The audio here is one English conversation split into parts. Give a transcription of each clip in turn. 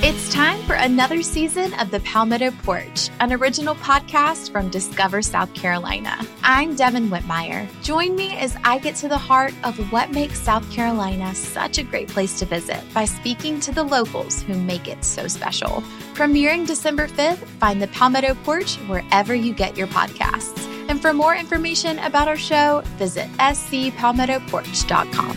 It's time for another season of The Palmetto Porch, an original podcast from Discover South Carolina. I'm Devin Whitmire. Join me as I get to the heart of what makes South Carolina such a great place to visit by speaking to the locals who make it so special. Premiering December 5th, find The Palmetto Porch wherever you get your podcasts. And for more information about our show, visit scpalmettoporch.com.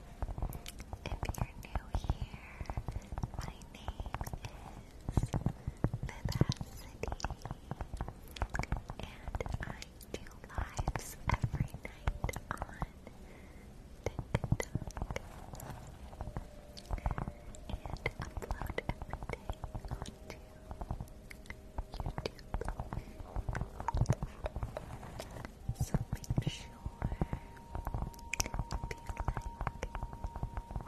If you're new here, my name is Vivacity, and I do lives every night on TikTok and upload everything onto YouTube. So make sure if you like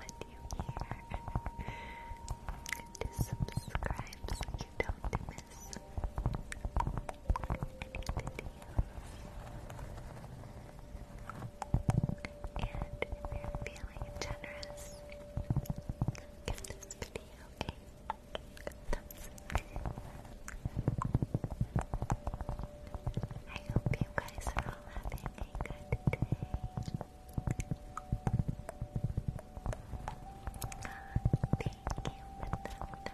what you hear to subscribe so you don't miss any videos. And if you're feeling generous, give this video a I hope you guys are all having a good day. Thank you for the time.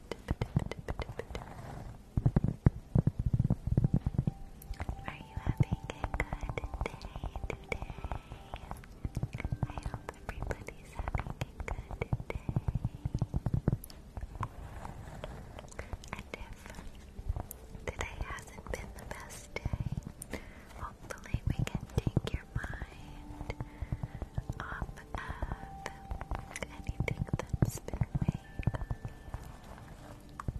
Are you having a good day today? I hope everybody's having a good day. And if today hasn't been the best day, hopefully we can take your mind off of anything that's been weighing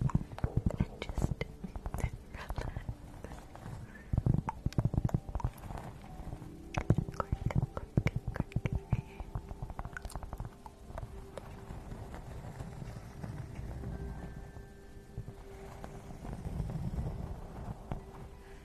you and just relax. Quirk, quirk, quirk. Relax, relax, relax, relax,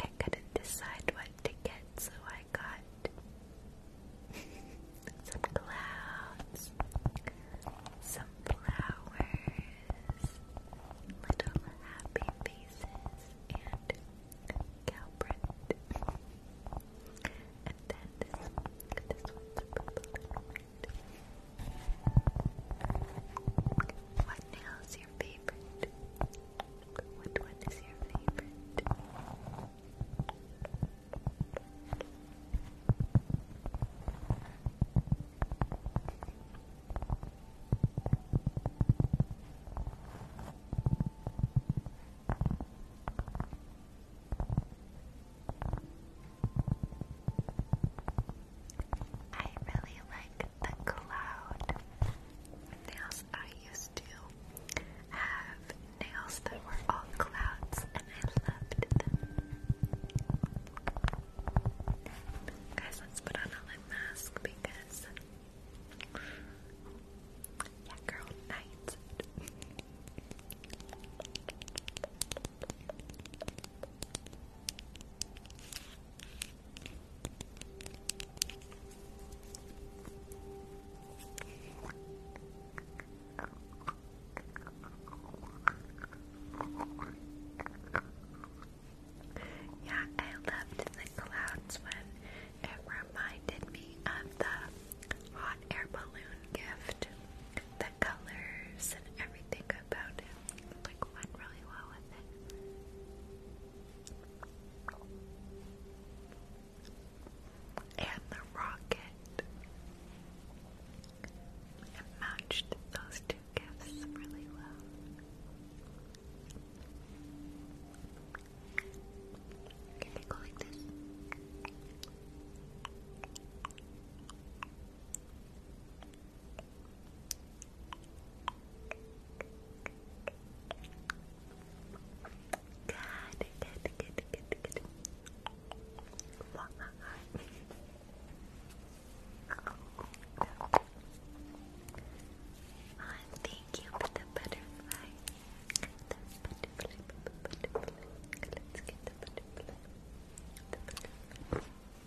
I couldn't decide what to get, so I got some clouds, some flowers, little happy faces, and Calbert. and then this, this one's purple what now is your favorite? What one is your favorite? I really like the cloud nails. I used to have nails that were all clouds and I loved them. Guys, let's put on a lip mask because yeah, girl, night. Yeah, I loved the clouds when it reminded me of the hot air balloon gift the colors and everything about it. Like went really well with it. And the rocket. matched those two gifts really well. Can they go like this? Good, good, good, good, good. One more. Oh, thank you for the butterfly. The butterfly, butterfly. Let's get the butterfly. The butterfly.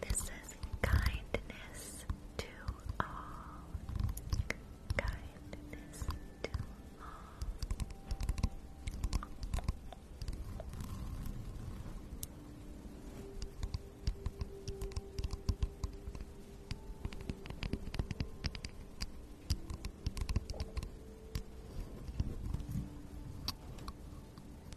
This says kindness to all. Kindness to all.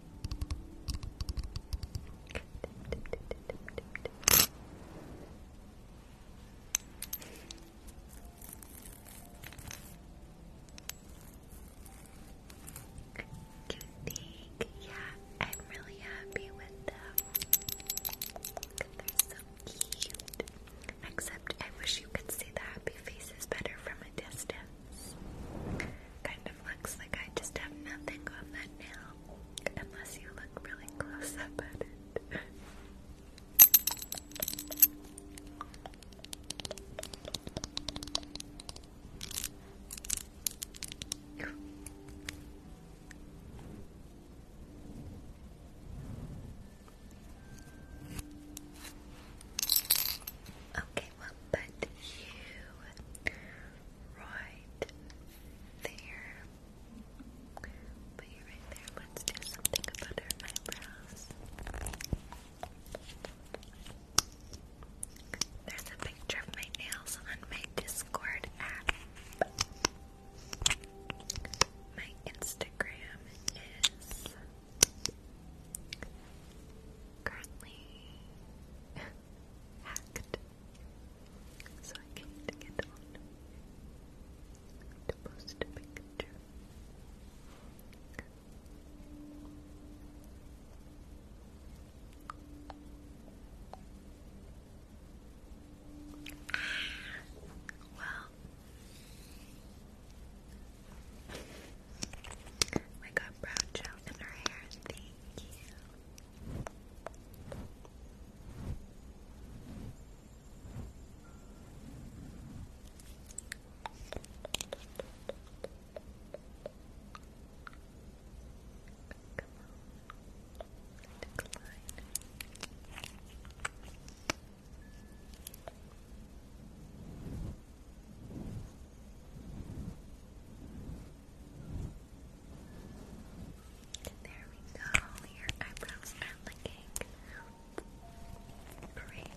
Do you think? Yeah, I'm really happy with them. They're so cute. Except I wish you could see the happy faces better from a distance. Kind of looks like I just have nothing on that nail, unless you look really close up at it anyone but you. Right there. But you right there. Let's do something about her eyebrows. There's a picture of my nails on my Discord app. My Instagram is currently hacked, so I can't get on to post a picture. Well, we got brow gel in her hair, Thank you. Come on. There we go. Your eyebrows are looking great.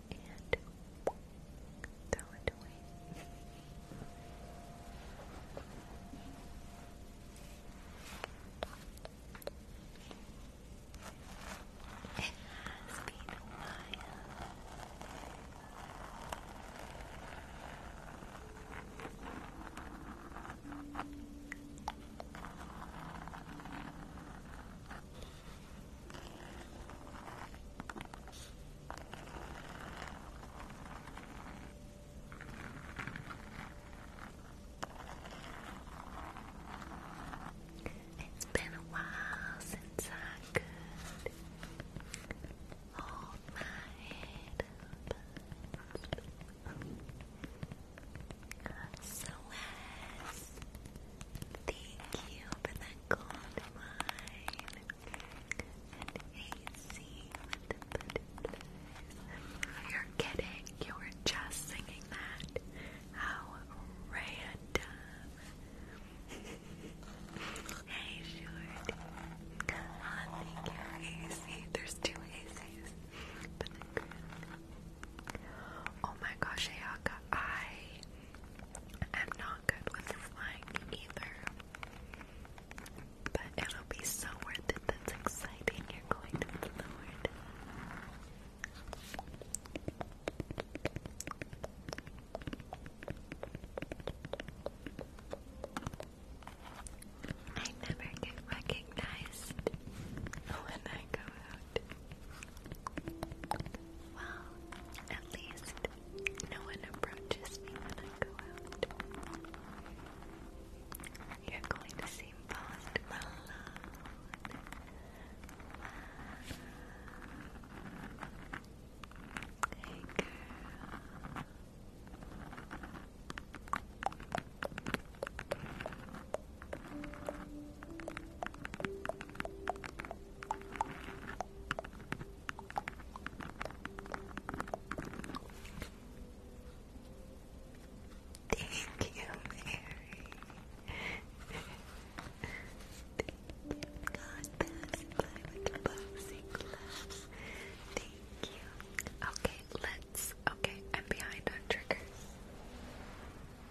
and throw it away. It has been a while. It's been a while since I could hold my head up. So as Thank you for that gold mine. And AC You're kidding. You were just singing that. How random. hey, short. Oh, thank There's two ACs. Oh my gosh, Ayaka, I I'm not good with flying either. But it'll be so worth it. That's exciting. You're going to the I never get recognized when I go out well, at least no one approaches me when I go out. You're going to seem fast alone. Hey girl. Thank you, Mary. God passed by with boxing gloves. Thank you. Okay, let's. Okay, I'm behind on triggers.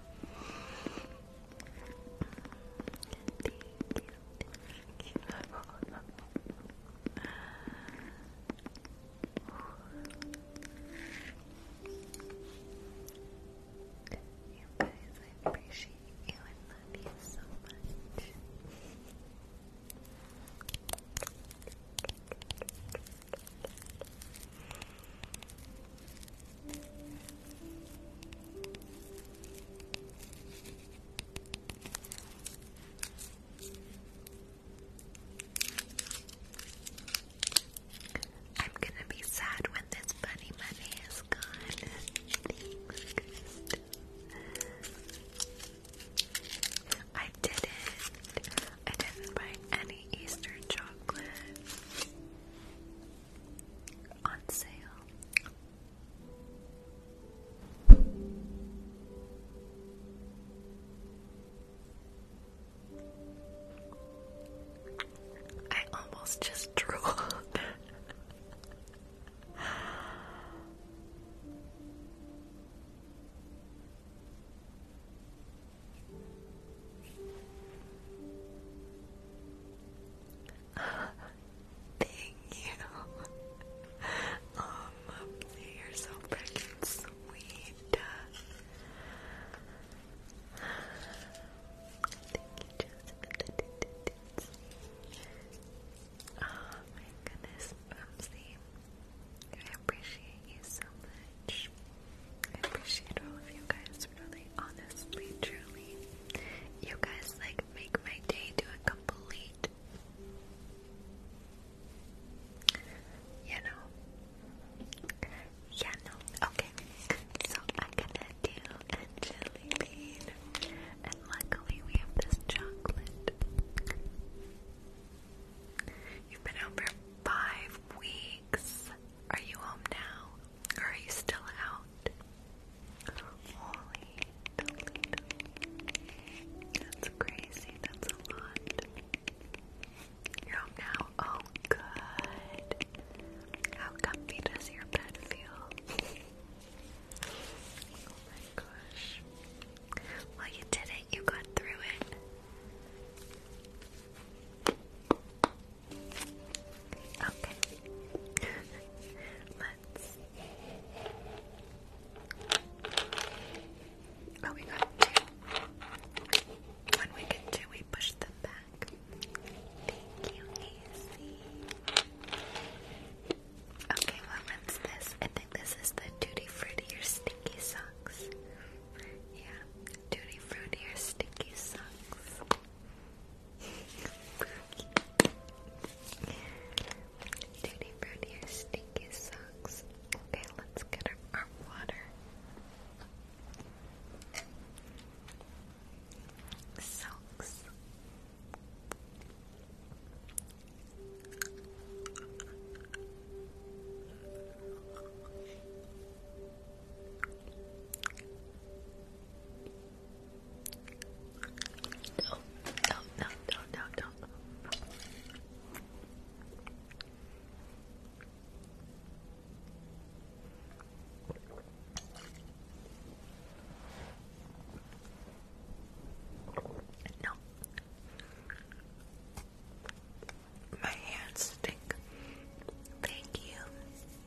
You guys, I appreciate you and love you so much. I'm gonna be sad when this bunny money is gone. I didn't. I didn't buy any Easter chocolate on sale. I almost just drooled. Thank you. Um, you're so freaking sweet. Thank you, Joseph. Oh my goodness, Ramsey. I appreciate you so much. I appreciate all of you guys, really, honestly, truly. You guys, like, make my day do a complete, you know, yeah, no, okay, so I'm gonna do a jelly bean, and luckily we have this chocolate. You've been out for five weeks. Are you home now? are you still out? Holy That's crazy. That's a lot. You're home now? Oh, good. How comfy does your bed feel? oh my gosh. Well, you did it. You got through it. Okay. Let's. Oh, we got two. When we get two, we push them back. Thank you, AC. Okay, what this? I think this is the Tutti Frutti or Sticky Socks. Yeah, Tutti Frutti or Sticky Socks. Duty Fruity, your stinky socks. Okay, let's get our water. Socks. No, no, no, no, no, no. No. My hands stink. Thank you.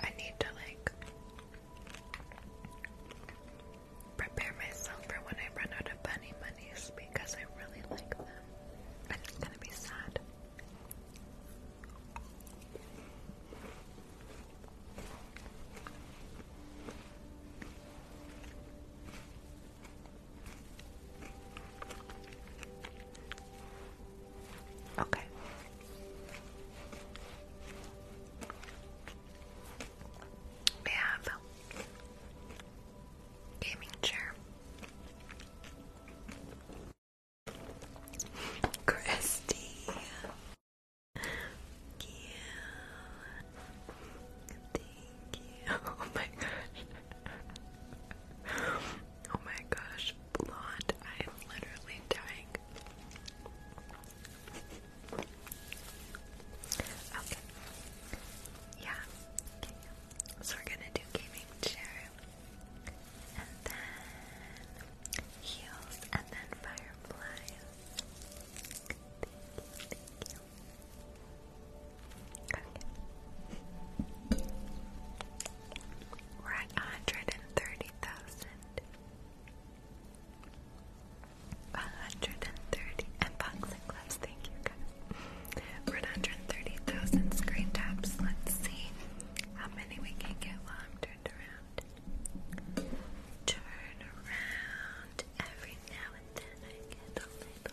I need to like prepare myself for when I run out of bunny monies because I really like them. And it's gonna be sad. Okay. We have gaming chair. Christy. Thank Thank you. Oh my gosh. Oh my gosh, blonde. I am literally dying. Okay. Yeah. So we're gonna do gaming chair. And then heels and then firefly. Thank you, thank you. Okay. We're at hundred and thirty thousand. hundred and thirty and box thank you guys. 130,000 screen taps. Let's see how many we can get while I'm turned around. Turn around every now and then I get a little bit.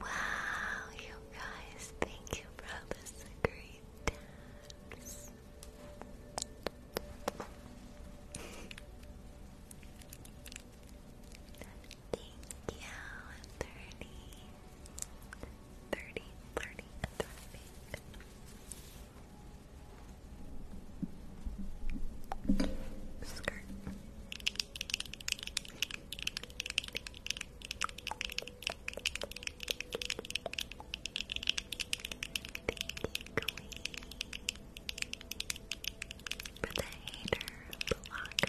Wow, you guys, thank you for this Thank you, Attorney. 30, 30, Skirt. For the hater blockers,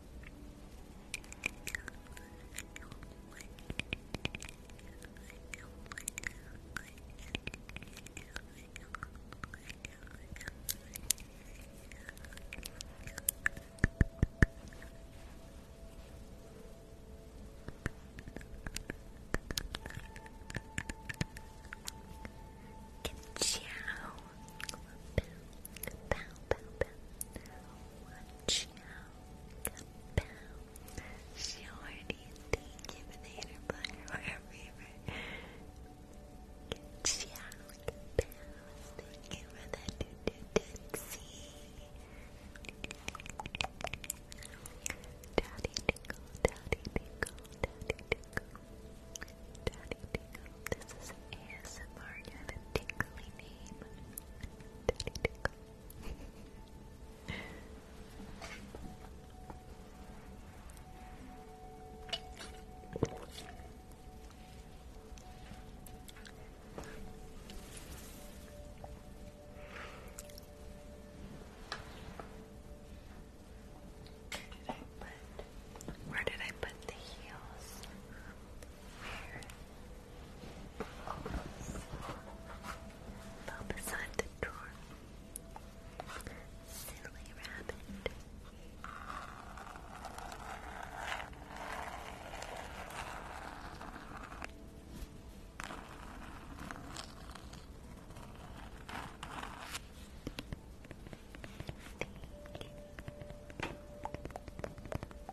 Ciao. Bow, bow, bow. Ciao. Kapow. Shorty, thank you for the interplay or a favor. Ciao, Kapow. Thank you for that do-do-do-see. Daddy Tickle, Daddy Tickle, Daddy Tickle. Daddy Tickle, this is ASMR, you have a tingly name. Tiny tickle. Where did I put? the heels? Fell beside the door. Silly rabbit. Thank you.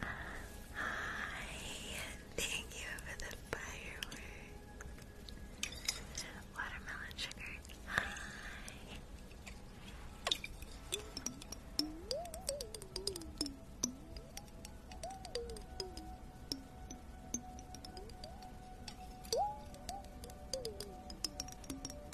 Hi, thank you for the fireworks. Watermelon sugar. Hi.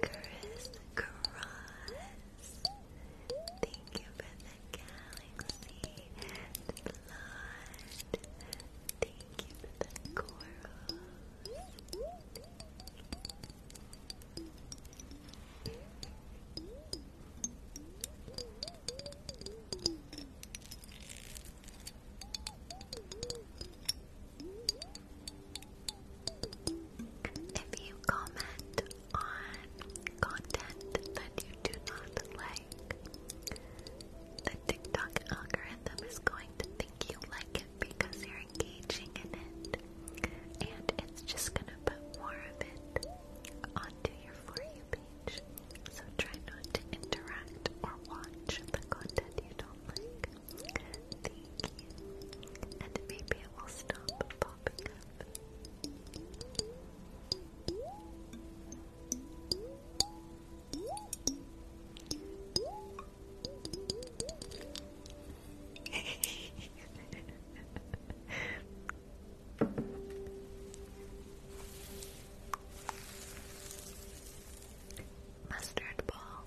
Chris Thank you for the galaxy. Blood. Thank you for the corals. Thank you. If you comment on content that you do not like, the TikTok algorithm is going to think you like it because you're engaging in it. And it's just gonna put more of it onto your For You page. So try not to interact or watch the content you don't like. Thank you. And maybe it will stop popping Mustard ball.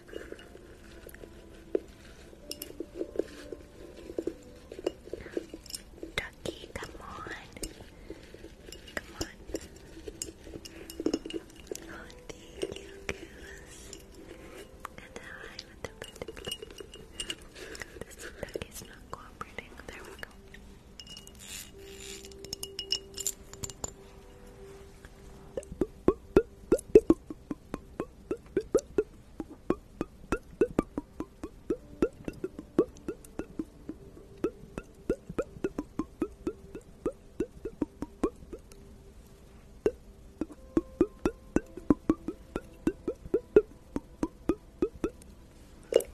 Ducky, come on. Come on. Oh, thank you, Goose. And hi with the bird. This ducky's not cooperating. There we go.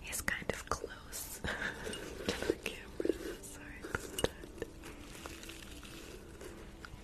He's kind of close to the camera. Sorry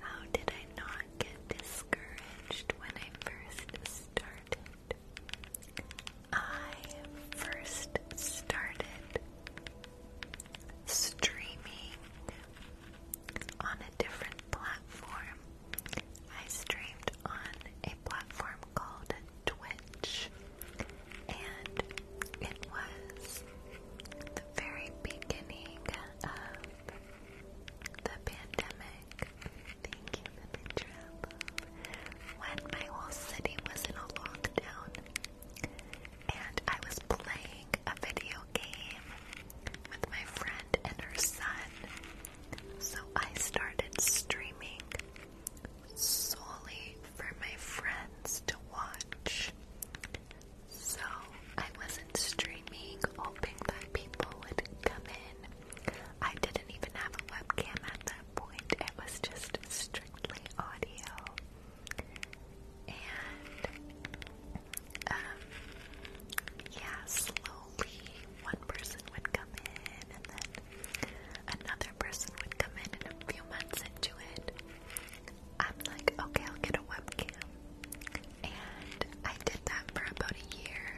How did I not get discouraged when I first started? I first started streaming on a different platform. I streamed on a platform called Twitch, and it was the very beginning of the pandemic. Thank you the trouble. When my whole city was in a lockdown, and I was playing a video game with my friend and her son, so I started streaming solely for my friends to watch. So I wasn't streaming hoping that people would come in. I didn't even have a webcam at that point. It was just strictly audio. And um yeah, slow slowly one person would come in and then another person would come in and a few months into it I'm like, okay, I'll get a webcam. And I did that for about a year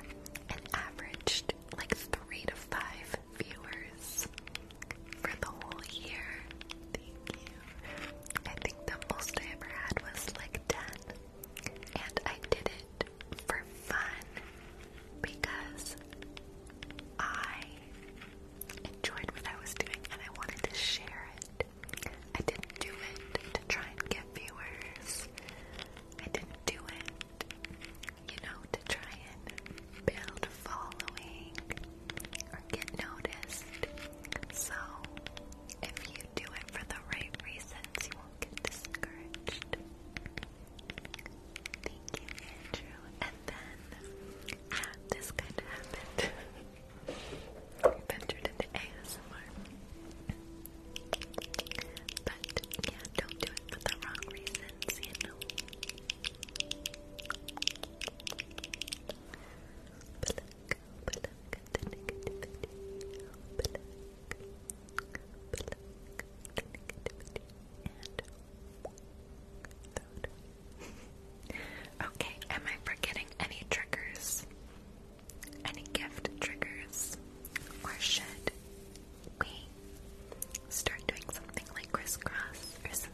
and averaged like three to five viewers for the whole year. Thank you. I think the most I ever had was like 10. And I did it for fun because I enjoyed what I was doing and I wanted to share it. I didn't do it to try and get viewers. I didn't do it, you know, to try and build following or get noticed. So, if you do it for the right reasons, get discouraged. Thank you, Andrew. And then, yeah, this kind of happened. into ASMR. But, yeah, don't do it for the wrong reasons, you know okay, am I forgetting any triggers? Any gift triggers? Or should we start doing something like crisscross or something?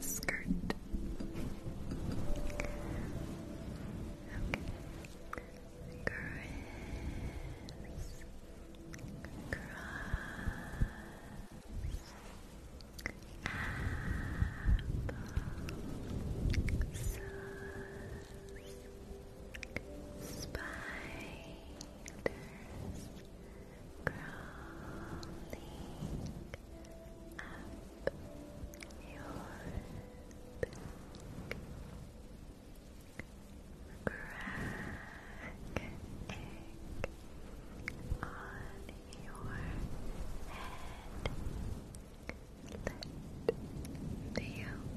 Skirt. Okay. Cross. Apple. Sauce. Spice fingers crawling up your back. Crack on your head. Let the yolk drip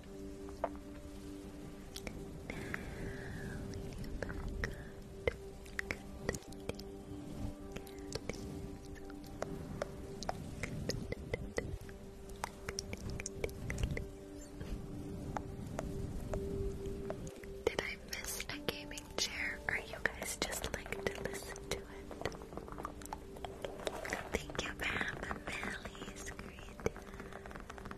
did I miss a gaming chair? Or you guys just like to listen to it? Thank you for having Mally's Yes,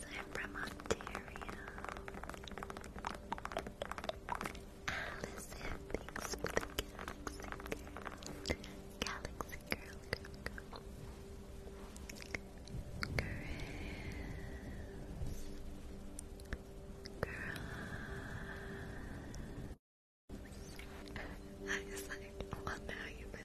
I'm from Ontario. Allison, thanks for the galaxy Galaxy girl, girl, girl. well now you miss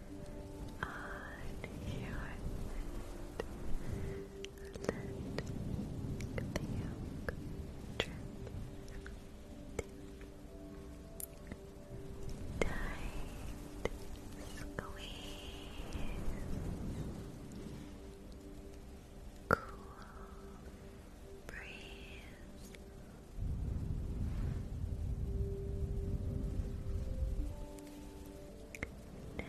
let the yolk drip down. Tight squeeze, cool breeze. Now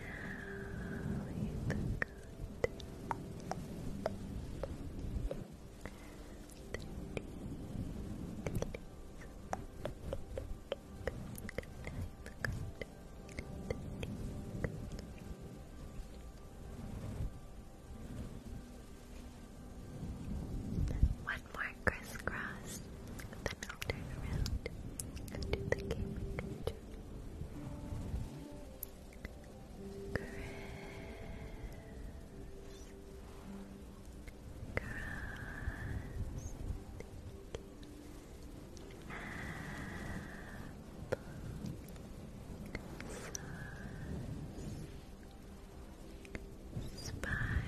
one more crisscross then I'll turn around and the gaming control. Chris. Cross. Spiders.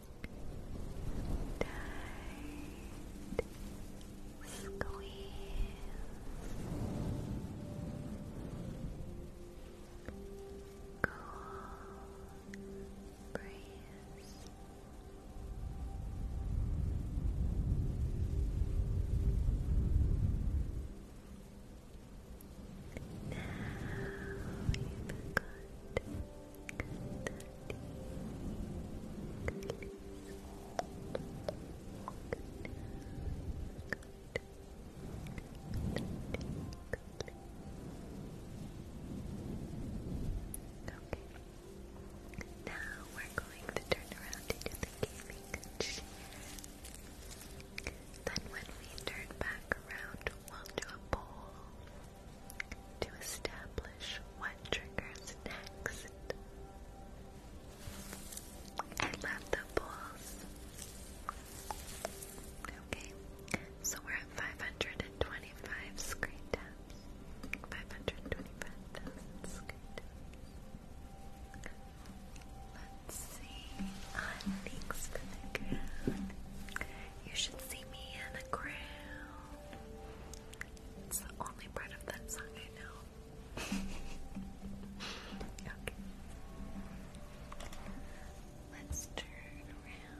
Tight squeeze. Cool breeze. Now you've got now we're going to turn around into the gaming Then when we turn back around, we'll do a poll to establish what triggers next. I love the pulls. Okay, so we're at 525 screen taps. 525,000 screen Let's see. On thanks for the You should see me in a crown. It's the only part of that song I know. Let's turn around.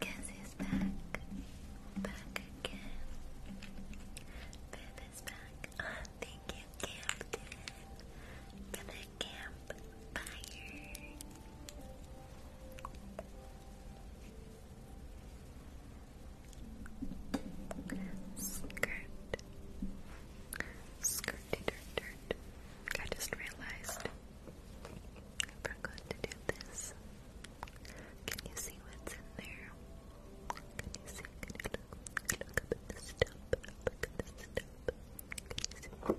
Guess he's back, back again back. Oh, thank you, Captain, for the campfire. Skirt. Skirty dirt dirt. I just realized I forgot to do this. Can you see what's in there? Can you see? at look up at this tub. Look at this tub. It's okay, look, look, look at this tub.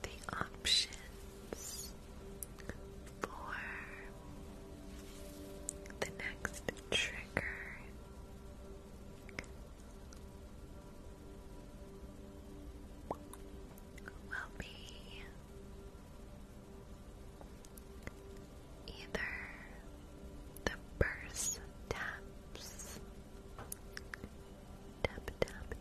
the options for the next trigger. Will be either the purse taps, tap, tap,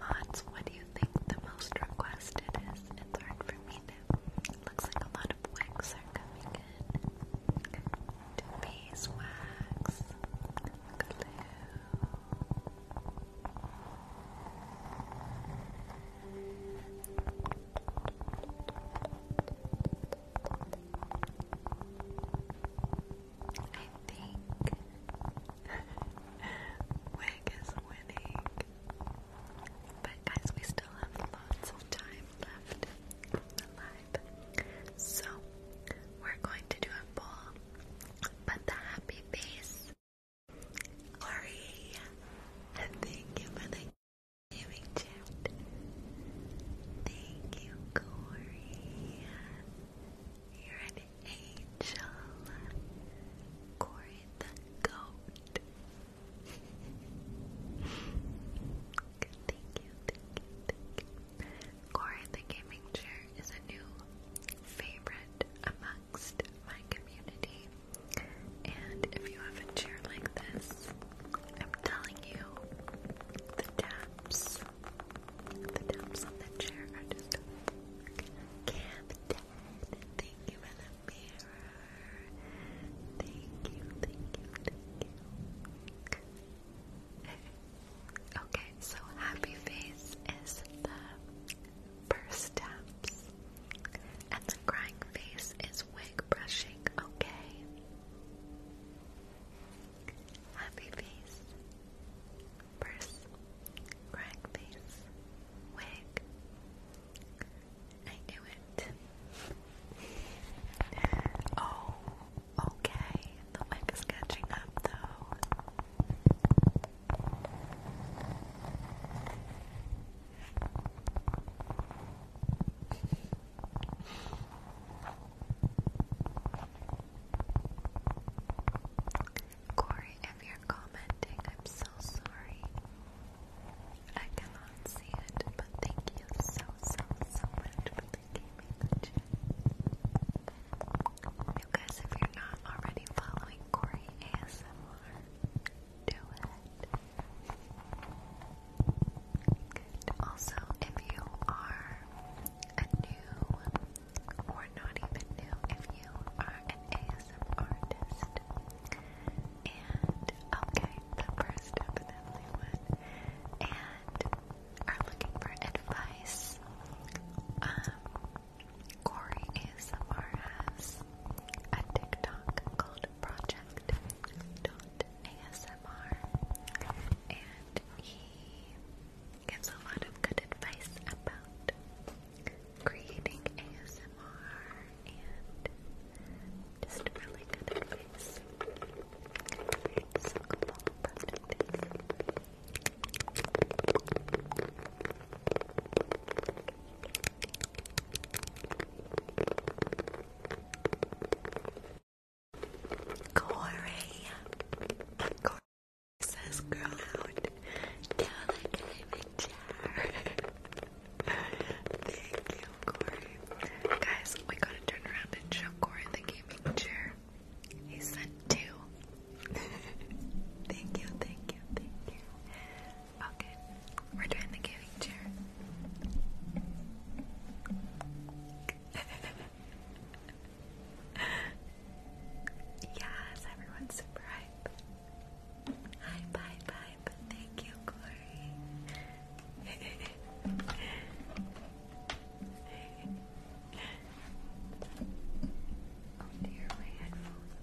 Mods, what do you think the most requested is? It's hard for me to. Looks like a lot of wigs are coming in. To beeswax, I think Wig is winning. But guys, we still have lots of time left So we're going to do a poll. But the happy face Lori, thank you for the gaming chat. Thank you, Corey. You're an angel. Corey the goat. thank you, thank the gaming chair is a new favorite amongst my community. And if you have a chair like this, I'm telling you, the taps, the taps on the chair are just can't Thank you for the mirror. Thank you, thank you, thank you. okay, so happy face is the first step and the crying face is wig brushing, okay? Happy face, purse, crying face, wig. I knew it. oh, okay. The wig is catching up though. Corey, if you're commenting, I'm so sorry. I cannot see it, but thank you so, so, so much for the gaming You guys, if you're not already following Corey ASMR, do it. Also, if you are a new or not even new, if you are an ASM artist, and okay, the first definitely one, and are looking for advice, um, Corey ASMR has a TikTok called project.asmr and he gives a lot of good advice about creating ASMR and just really good advice. Corey. Corey says, girl out. Tell the guy chair. Thank you, Corey. Guys, we gotta turn around and show Corey the gaming chair. He sent two. thank you, thank you, thank you. Okay, we're doing the gaming chair. yes, everyone's super hype. Hype, hype, hype. Thank you, Glory. Oh dear, my headphones.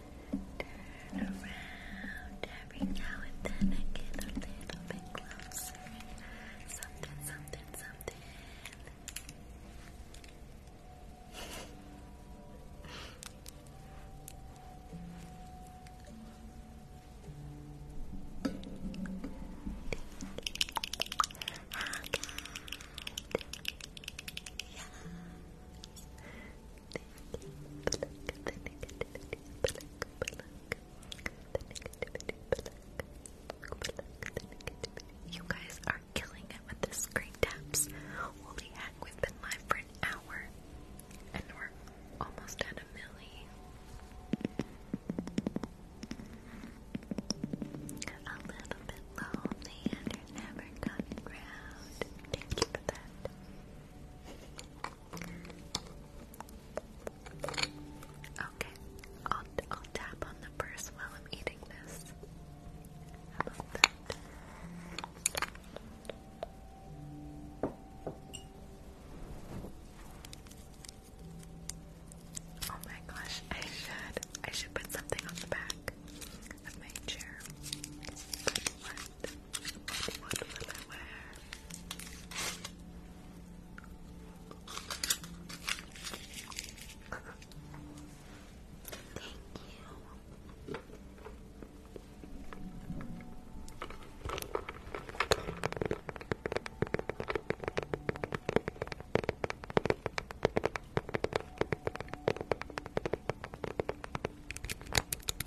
Turn around every now and then and get a little bit closer. Something, something, something. Oh, You guys are killing it with the screen taps. Holy heck, we've been live for an hour and we're almost at a milli. A little bit lonely and you're never coming round. Thank you for that. Okay, I'll, I'll tap on the purse while I'm eating this. Oh my gosh, I should. I should put something on the back of my chair. What will I wear? Thank you.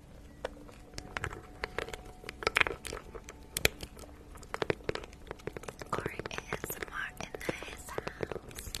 Or ASMR in this house.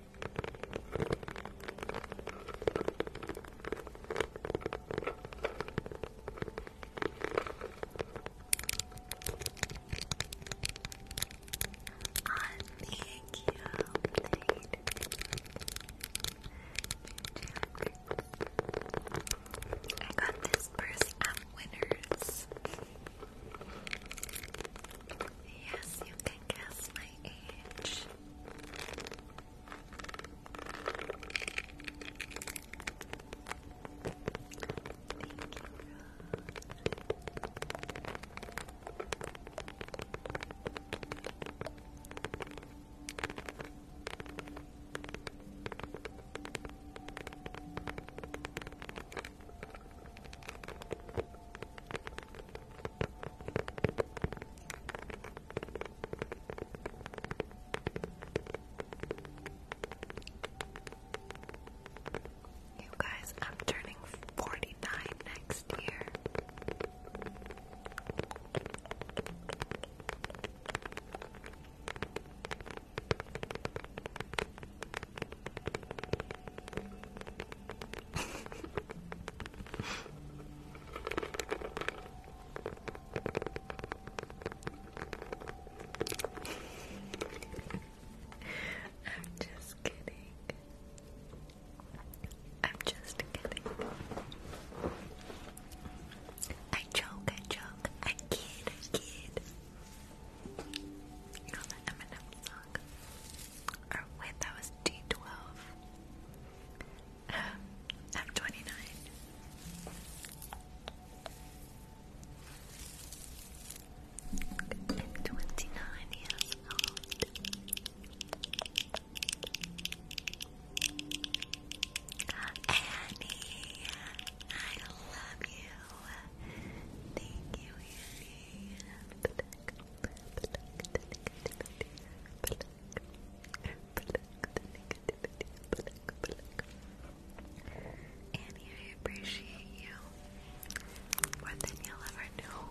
I got this purse at Winners. Yes, you can guess my Thank you, Rose. You guys, I'm turning 49 next year. I'm just kidding. I'm just kidding. I joke, I joke, I kid, I kid. You know that Eminem song? Dog. wait, that was D12. Um, F29. F29, yes, almost. Annie, I love you. Thank you, Annie, I appreciate you more than you'll ever know.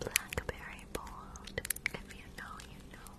Blackberry bold. If you know, you know.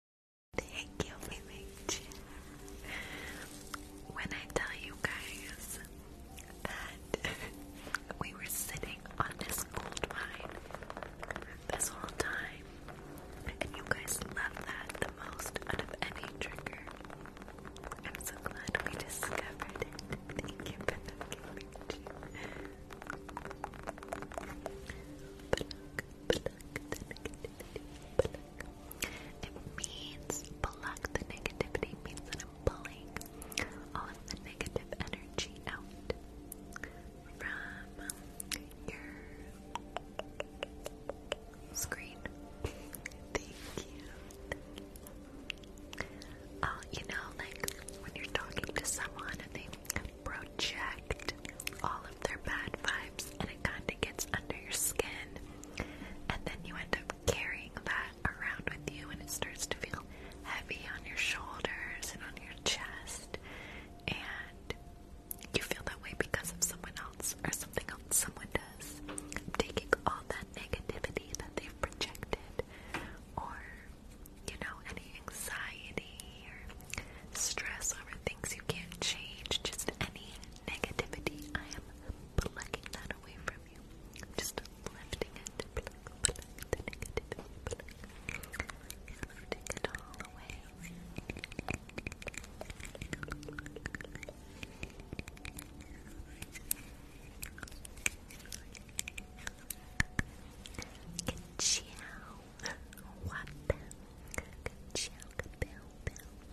Thank you, Village. When I tell you guys that we were sitting on this gold this whole time, and you guys love that the most out of any trigger, I'm so glad we discovered it. Thank you for it means block the negativity, means that I'm pulling all the negative energy out from your screen. Thank you. Oh, you know, like when you're talking to someone and they project all of their bad vibes and it kind of gets under your skin. And then you end up carrying that around with you and it starts to feel heavy on your shoulders and on your chest. And you feel that way because of someone else or something else someone does. taking all that negativity that they've projected or, you know, any anxiety or stress over things you can't change, just any negativity, I am plucking that away from you. just lifting it, pluck, it all away. Ciao, what? Ciao, bell, bell,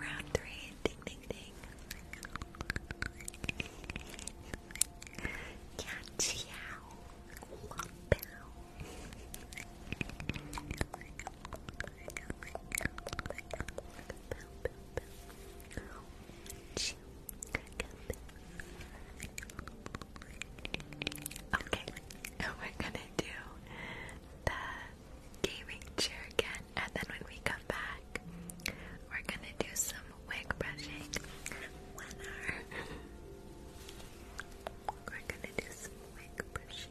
Round three, ding ding ding. Yeah, ciao. Wow. Okay, we're oh gonna do the gaming chair again, and then when we come back, we're gonna do some wig brushing. Winner! We're gonna do some wig brushing.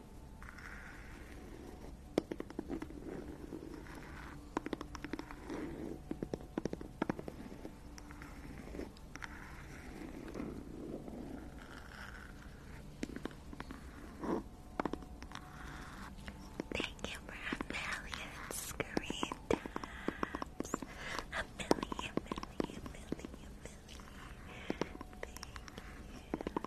Thank you for a million screen taps. A million, million, million, million. Thank you. Thank you so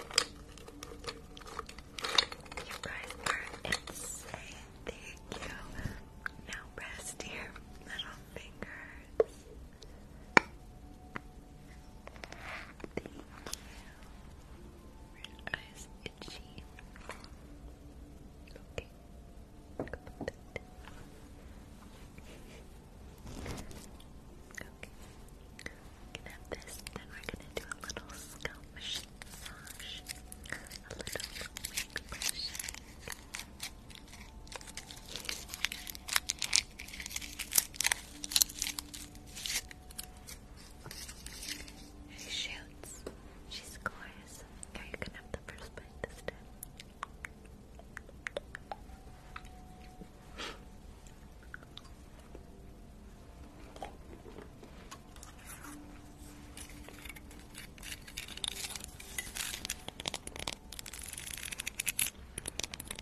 much. You guys are insane. Thank you. Now rest your middle finger Thank you. Okay. Okay. We this, then we're gonna do a little scalp massage, a little wig brushing, she shoots. She scores. Are you gonna have the first bite this time?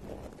Oops. Oops. Oops.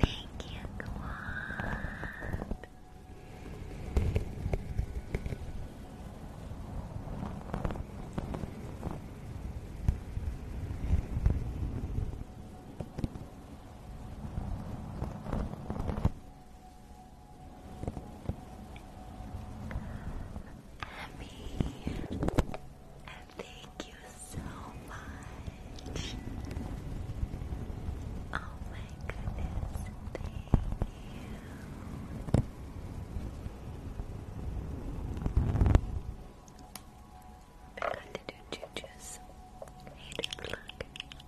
Thank you, Quad. Abby, and thank you so much. Oh my goodness, thank you. I got to do juju's. Hey, look.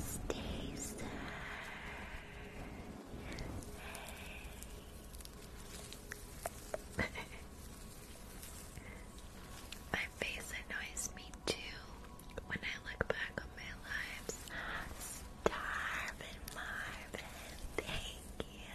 Stay safe. Hey. my face annoys me too when I look back on my lives. Starvin' Marvin, thank you.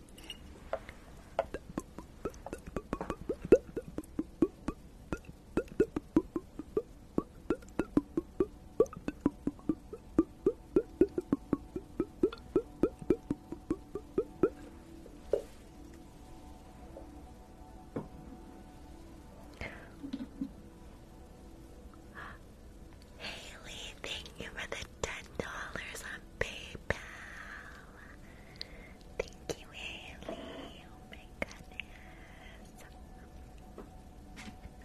Haley, thank you for the ten dollars on PayPal. Thank you, Haley. Oh my goodness.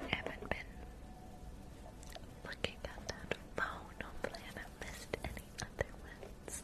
haven't been looking at that phone. Hopefully, I haven't missed any other ones.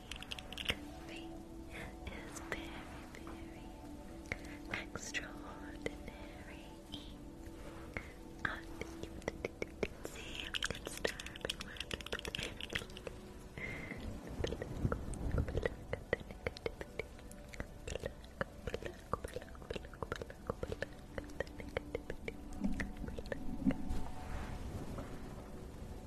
Rain very, very extraordinary. And you can see I'm starving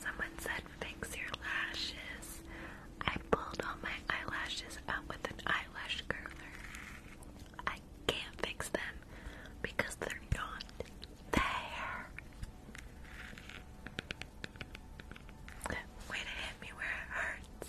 Someone said fix your lashes. I pulled all my eyelashes out with an eyelash curler. I can't fix them because they're not there. Way to hit me where it hurts.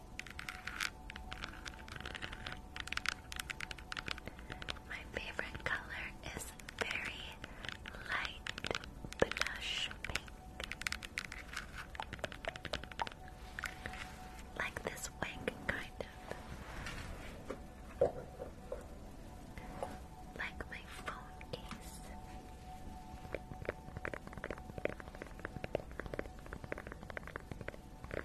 My favorite color is very light blush pink. Like this wig, kind of. Like my phone case.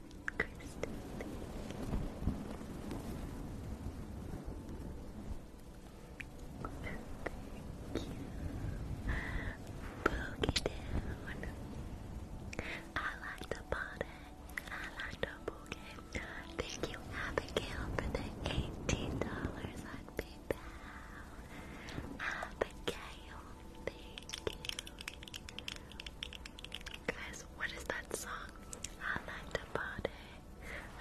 thank you. Boogie down. I like the body. I like the boogie. Thank you, Abigail, for the $18 on PayPal. Abigail, thank you. Guys, what is that song? I like to party,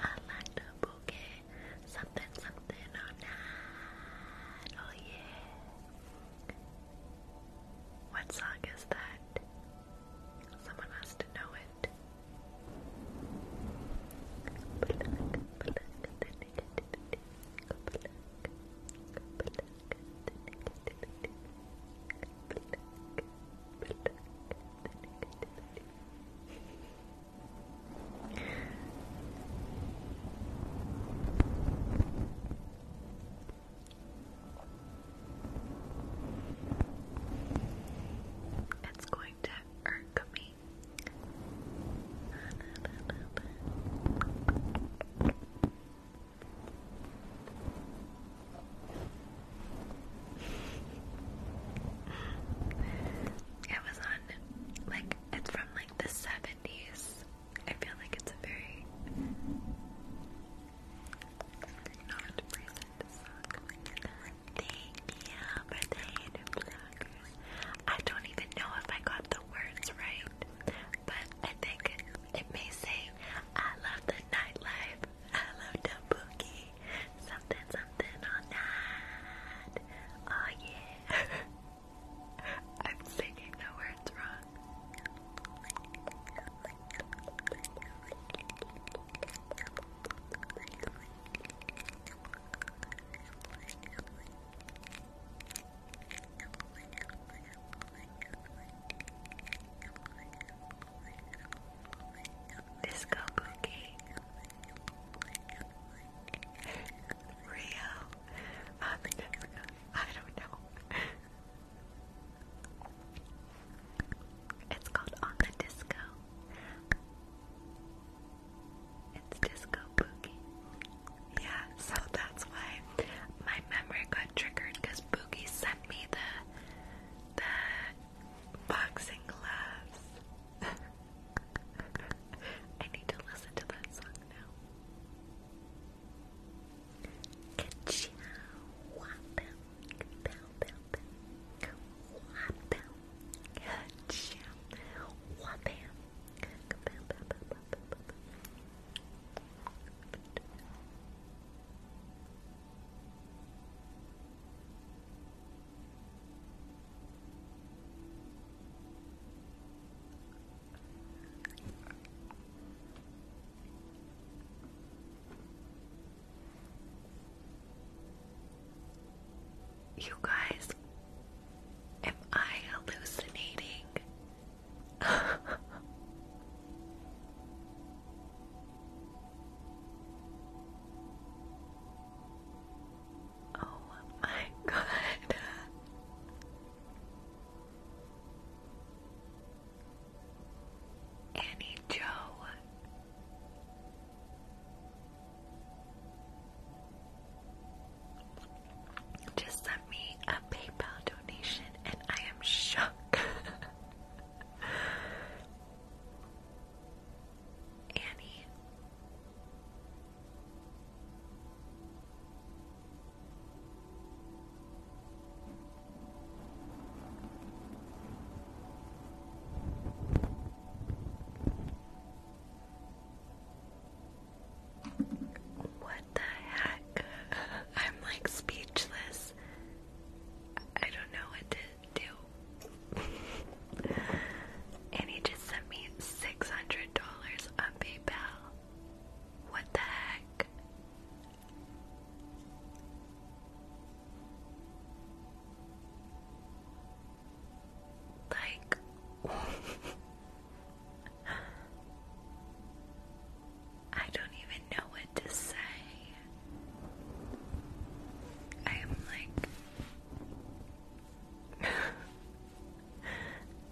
I like to boogie, something, something all night, oh yeah. What song is that? Someone has to know it. It's going to irk me. It was on, like, it's from like the 70s. I feel like it's a very not recent song. Thank you for the I don't even know if I got the words right, but I think it may say, I love the nightlife, I love the boogie, something, something all night. Oh yeah. I'm singing the words wrong. Disco Boogie Rio I don't know It's called On the Disco It's Disco Boogie Yeah, so that's why my memory got triggered because Boogie sent me the the boxing gloves. I need to listen to that song now. Wabam, you guys, am I hallucinating? Oh my god. Annie Joe. Just sent me a PayPal donation and I am shocked. Annie. What the heck? I'm like speechless. I don't know what to do. and he just sent me $600 on PayPal. What the heck? Like, I don't even even know what to say. I am like,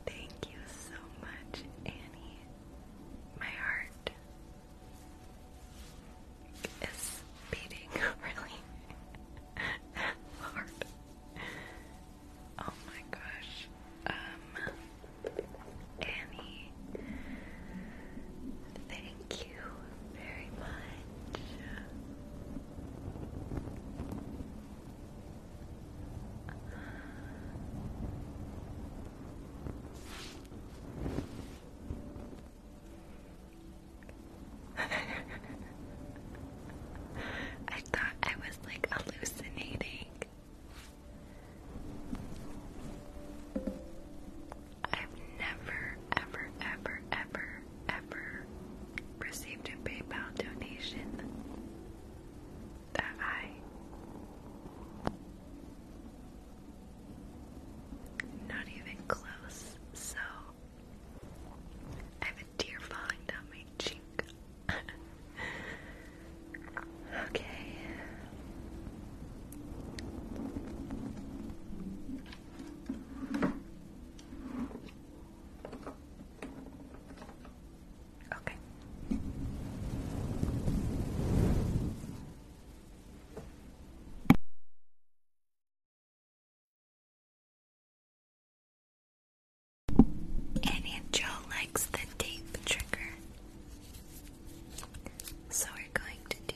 thank you so much, Annie. My heart is beating really hard. Oh my gosh. Um, Annie, thank you very much. I thought I was like hallucinating. I've never, ever, ever, ever, ever received a PayPal donation that I not even close, so I have a tear falling down my cheek. okay. Okay. And likes the tape trigger. So we're going to do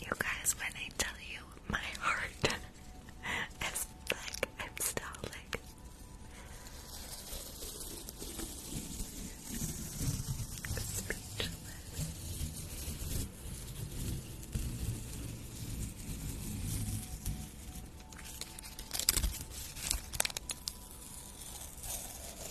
You guys, when I tell you my heart is like I'm still like speechless.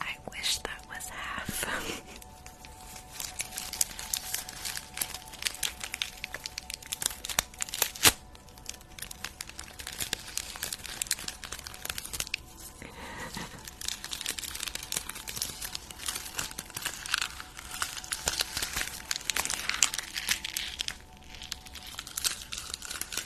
I wish that was half.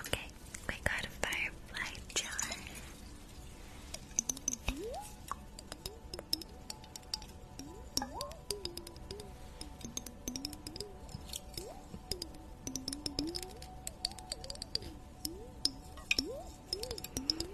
Okay, we got a firefly jar you, Adrian, for the coral.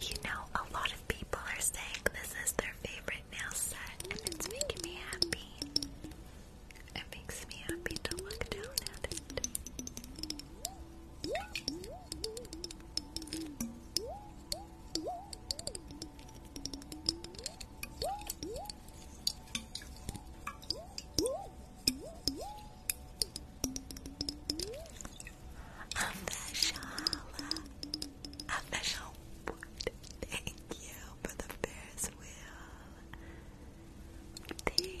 you know, a lot of people are saying this is their favorite favorite set, and it's making me happy. It makes me happy to look down at it. i um, the Shala. Official thank you for the Ferris Thank you.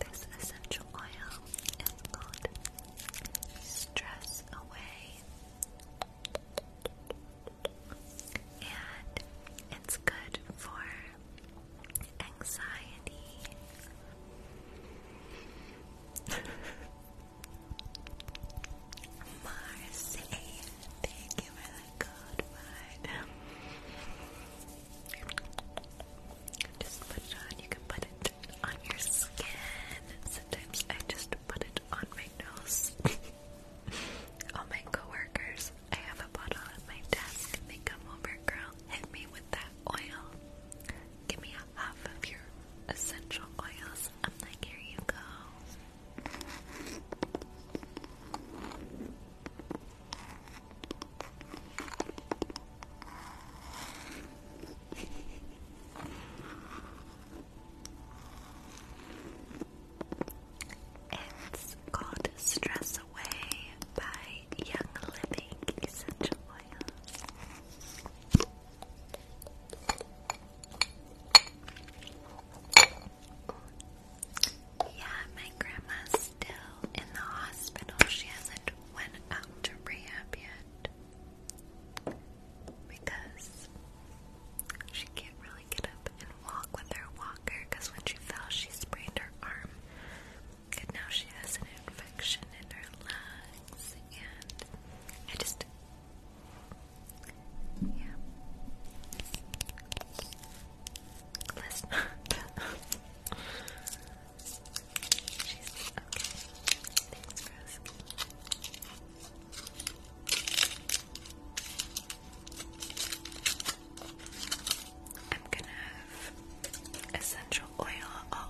This essential oil is called Stress Away, and it's good for anxiety, Marcy, thank you for the good one. Just put on. You can put it on your skin. Sometimes I just put it on my nose. All my coworkers, I have a bottle at my desk. They come over, girl. Hit me with that oil. Give me half of your essential oils. I'm like, here you go. It's called Stress Away by Young Living Essential Oils. Yeah, my grandma's still in the hospital. She hasn't went out to rehab yet because she can't really get up and walk with her walker. Because when she fell, she sprained her arm, and now she has an infection in her lungs, and I just. Yeah. Let's not. She's okay. I'm gonna have essential oil all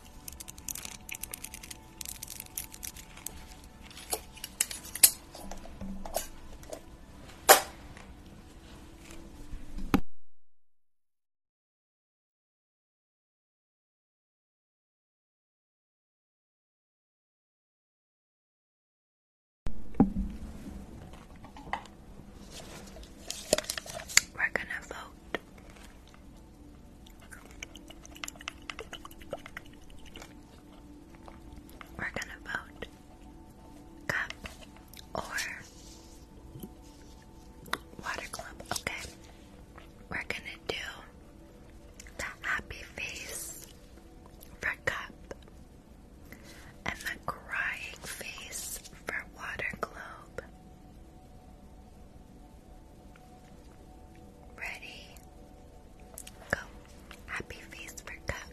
We're gonna vote we're gonna vote cup or water club. Okay, we're gonna do the happy face for cup and the crying face for water globe. Ready? Go. Happy face for cup.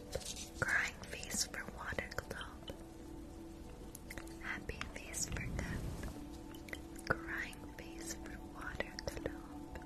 Crying face for water globe. Happy face for cup. Crying face for water globe.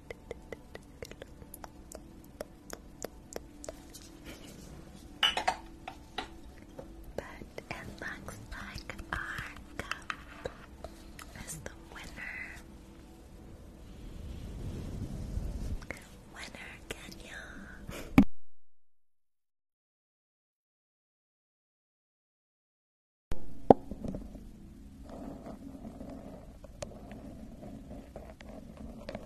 But it looks like our cup is the winner. Winner, Kenya.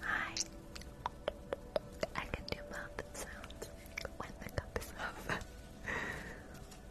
Hi. I can do mouth sounds when the cup is off.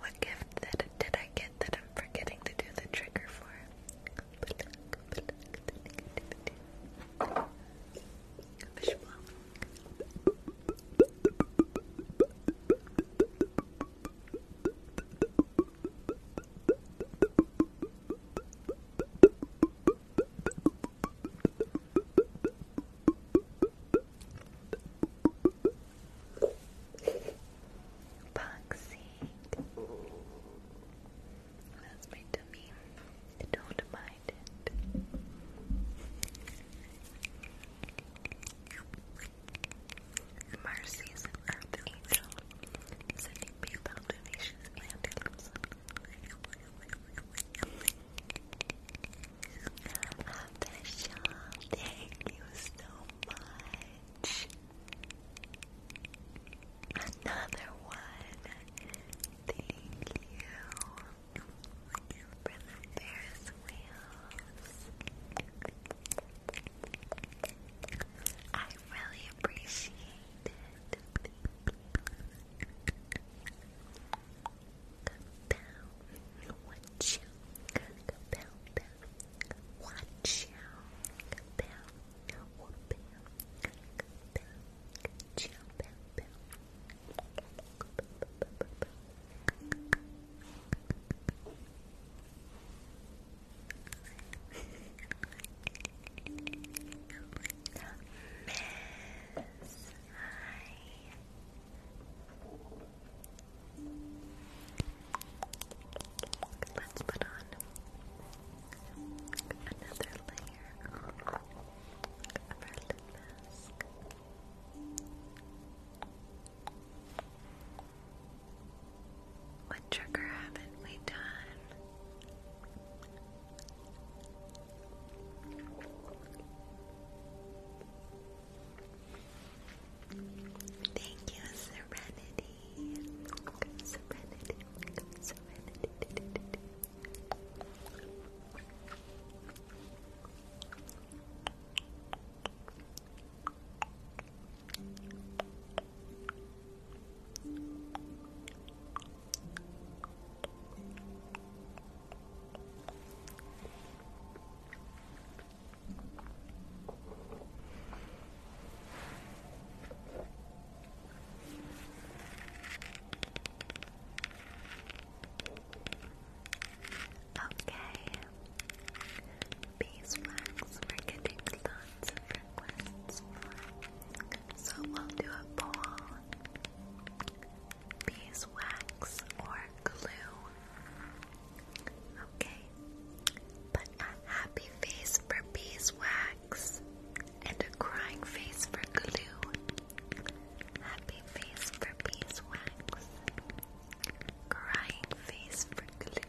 What gift that did I get that I'm forgetting to do the trigger for? Boxing. That's my dummy. Don't mind it. Mercies and Angel sending PayPal donations and Abishon, thank you so much. Another one. Thank you for the Ferris wheels. I really appreciate it. Kapow, what you? Kapow, pow, watch out, bam, or bam, bam, chow, bam, bam. Miss, hi. Let's put on another layer of our mask. What trigger haven't we done? Thank you, Serenity. Serenity. Serenity. Okay, beeswax, we're getting lots of requests so we'll do a poll. Beeswax or glue? Okay. But a happy face for beeswax and a crying face for glue. Happy face for beeswax. Crying face for glue.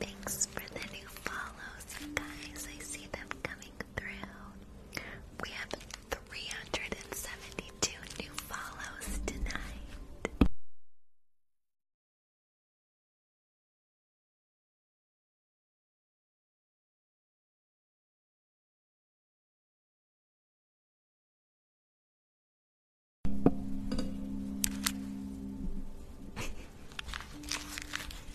Thanks for the new follows, you guys. I see them coming through. We have 372 new follows tonight.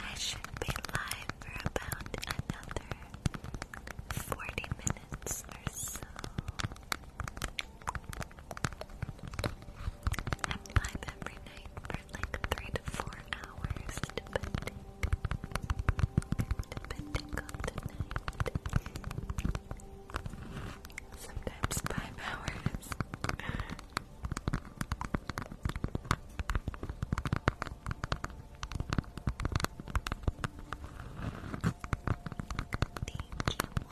I should be live for about another 40 minutes or so. I'm live every night for like three to four hours, depending, depending on the night. Sometimes five hours.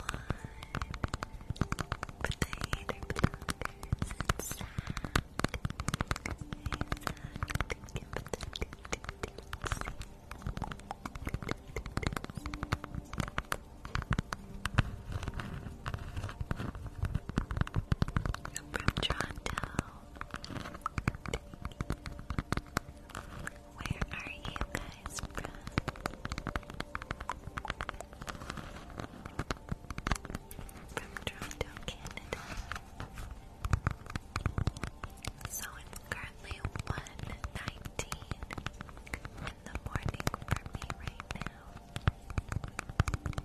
Thank you, but you I'm from Toronto. Where are you guys from? from Toronto, Canada. So it's currently 1.19 in the morning for me right now. Thank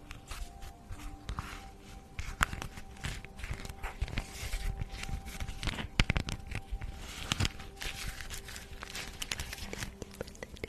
you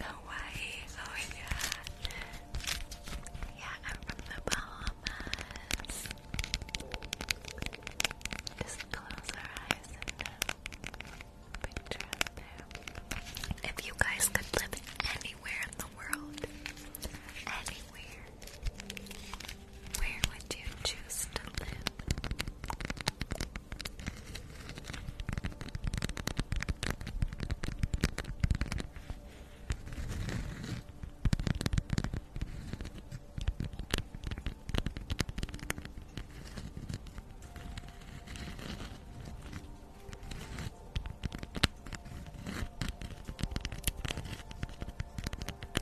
Hawaii, oh yeah. Yeah, I'm from the Bahamas. Just close our eyes and uh, picture there. If you guys could live anywhere in the world, anywhere, where would you choose to live?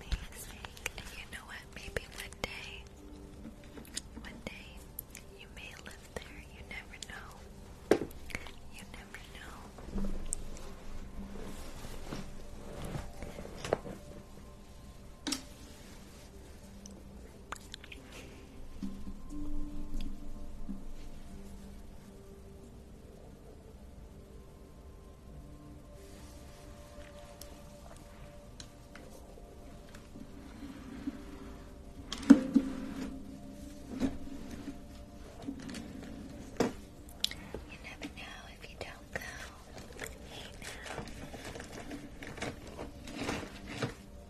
Amazing. you know what? Maybe one day, one day, you may live there. You never know. You never know. You never know if you don't go.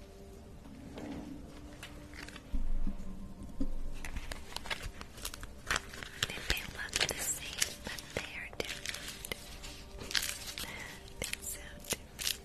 They look the same, but they are different. so different.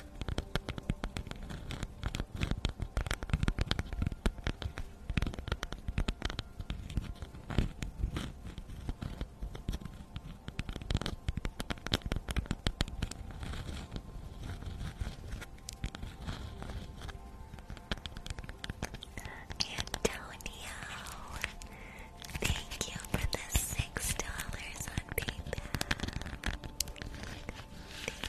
Antonio, thank you for the six dollars on PayPal.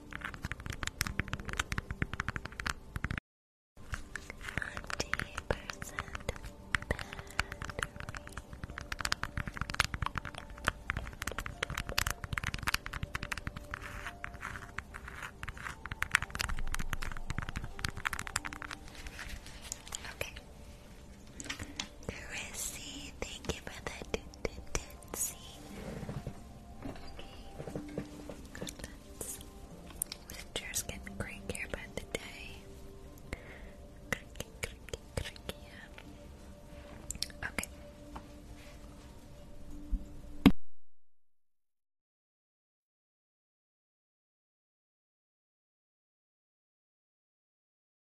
percent Okay. Chrissy, thank you for the Let's see. Okay. Goodlands. Winter's getting crankier by the day. Okay.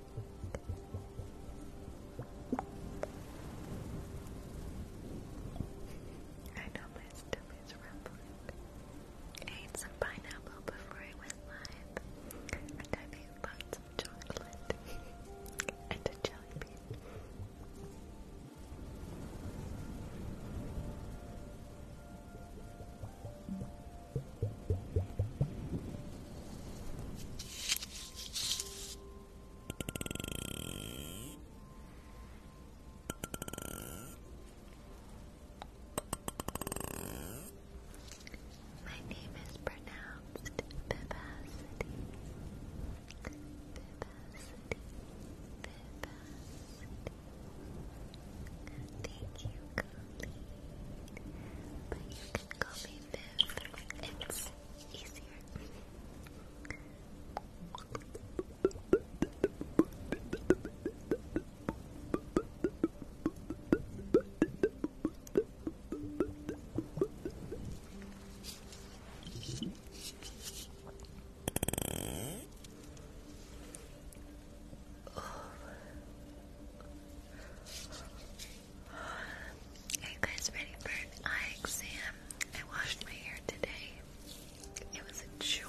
I know my stomach's rumbling. ate some pineapple before I went live, I ate lots of chocolate and jelly bean. My name is pronounced Vivacity. Vivacity. Vivacity. Thank you, Colleen. But you can call me it's easier. Are guys ready for an exam? I washed my hair today. It was a chore.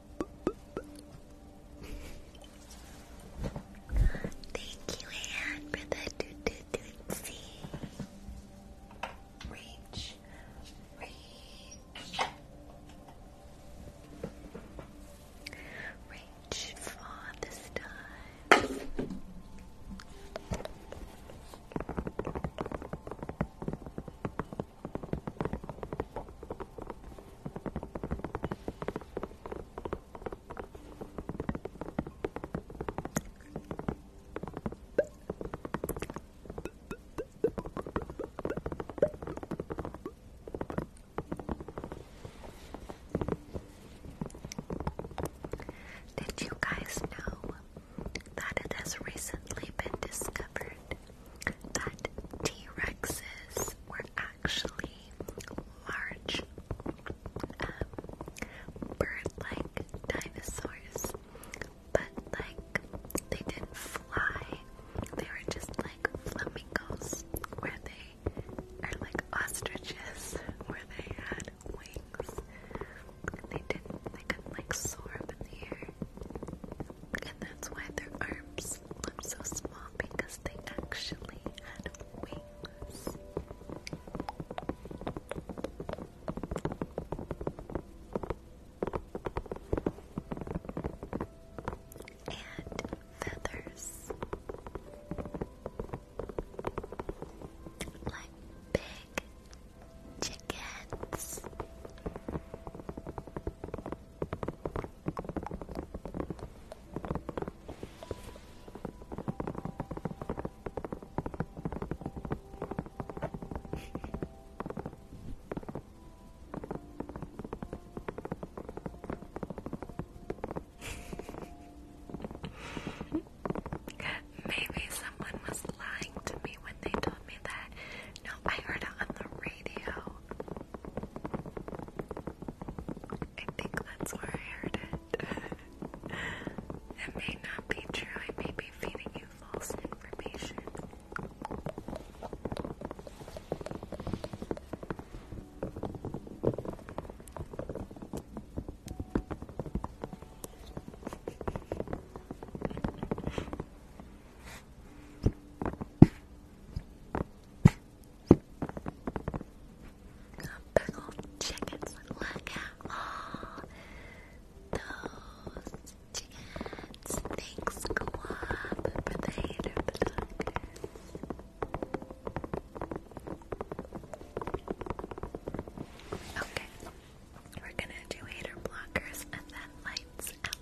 Thank you, Anne, for the do do do Reach, reach, reach for the stars. Did you guys know that it has recently been discovered that T Rexes were actually large um, bird-like dinosaurs, but like they didn't fly. They were just like flamingos, where they are like ostriches, where they had wings. They didn't. They couldn't like soar up in the air, and that's why their arms I'm so small because they actually had wings. And feathers. Like big chickens. Maybe someone was lying to me when they told me that. No, I heard it on the radio. I think that's where I heard it. it may not be true, I may be feeding you false information. Pickled chickens. Look at all those chickens. Thanks, Guap, for the hater plug. Okay, we're gonna do hater blockers and then lights out.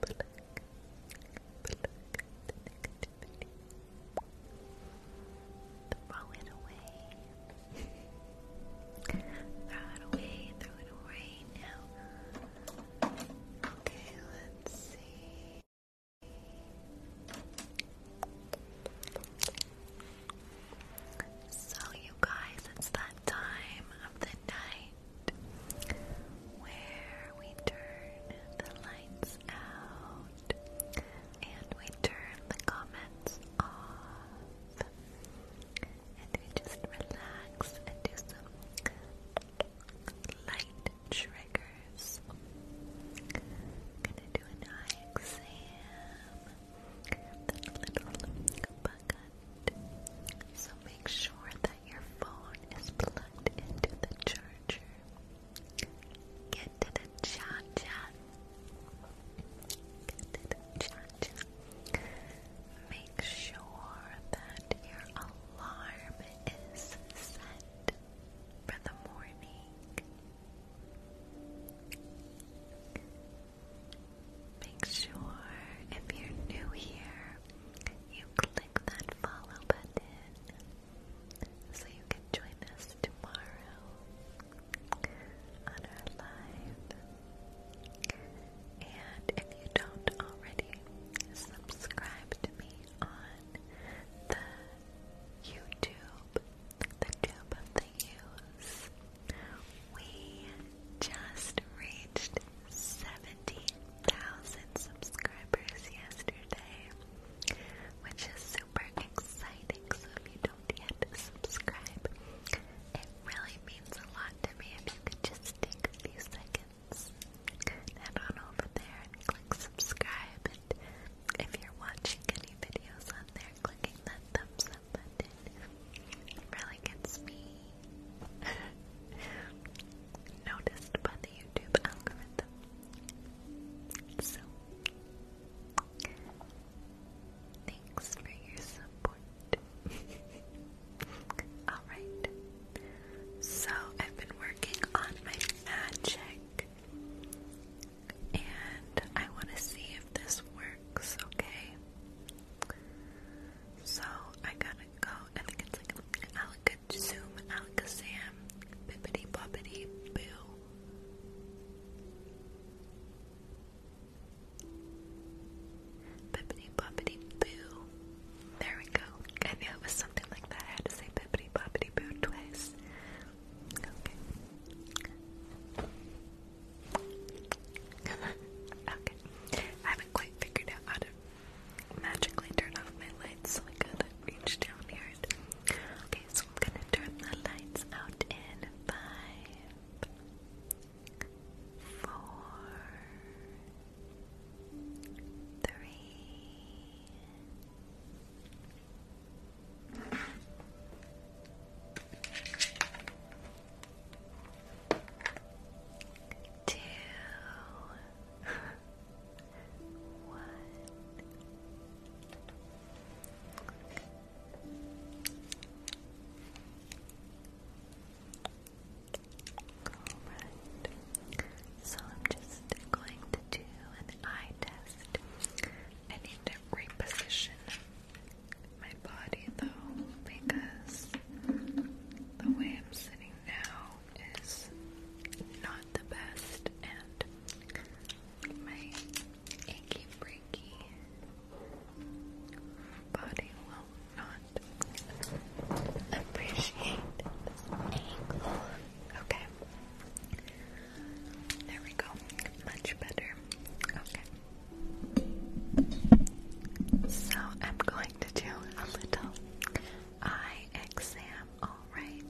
Black, Throw it away. throw it away, throw it away now. Okay, let's see. So, you guys, it's that time of the night where we turn the lights out and we turn the comments off and we just relax and do some light triggers. gonna do an eye exam, then little bug so make sure that your phone is plugged into the charger. Get to the cha-cha. Get to the cha-cha. Make sure that your alarm is set for the morning. Make sure if you're new here, you click that follow button so you can join us tomorrow on our live. And if you don't already, subscribe to me on the YouTube, the tube of the use. We just reached 70,000 subscribers yesterday, which is super exciting. So, if you don't yet subscribe, it really means a lot to me if you could just take a few seconds and head over there and click subscribe. And if you're watching any videos on there, clicking that thumbs up button really gets me noticed by the YouTube algorithm. So, thanks for your support. Alright, so I've been working on my magic, and I want to see if this works, okay? So, I got go. I think it's like Alakazam, Alakazam, Bippity Boppity Boo. Bippity Boppity Boo. There we go. I knew it was something like that. had to say Bippity Boppity Boo twice. Okay. okay. I haven't quite figured out how to magically turn off my lights so I could reach down here. Okay, so I'm gonna turn the lights out in five, four, three two, one. so I'm just going to do an eye test. I need to reposition my body though because the way I'm sitting now is not the best, and my achy breaky body will not appreciate Okay. There we go. Much better. Okay. So I'm going to do a little eye exam, alright?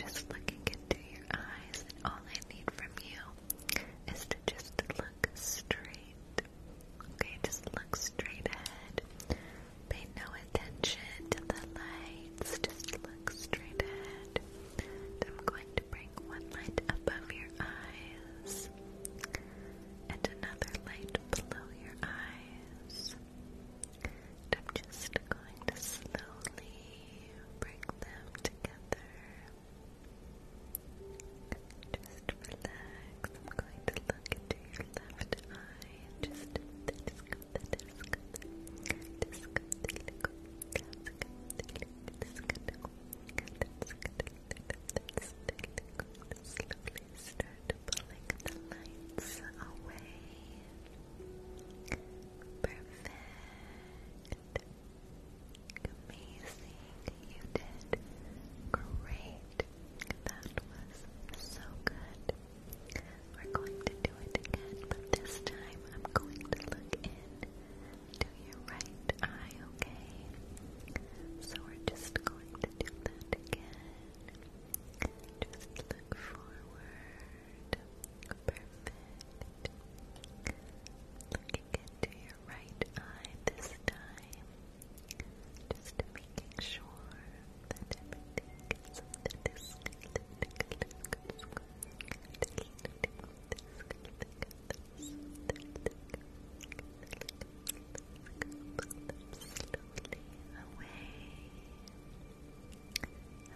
Just looking into your eyes, all I need from you is to just look straight. Okay, just look straight ahead. Pay no attention to the lights, just look straight ahead. I'm going to bring one light above your eyes and another light below your eyes. I'm just going to slowly bring them together. Just relax. I'm going to look into your left eye start pulling the lights away. Perfect. Amazing. You did great. That was so good. We're going to do it again, but this time I'm going to look in your right eye, okay? So we're just going to do that again. Just look forward. Perfect. Looking into your right eye this time. Just making sure slowly away.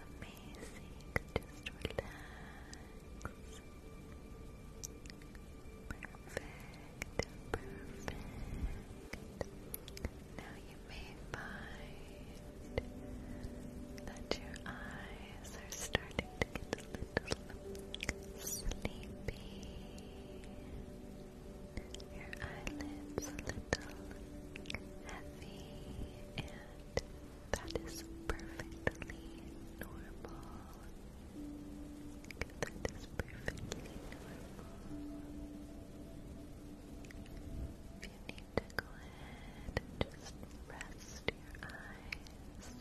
Amazing. Just relax. Perfect. Perfect. Now you may find that your eyes are starting to get a little sleepy. Your eyelids a little heavy, and that is perfectly normal. That is perfectly normal. If you need to go ahead just rest your eyes,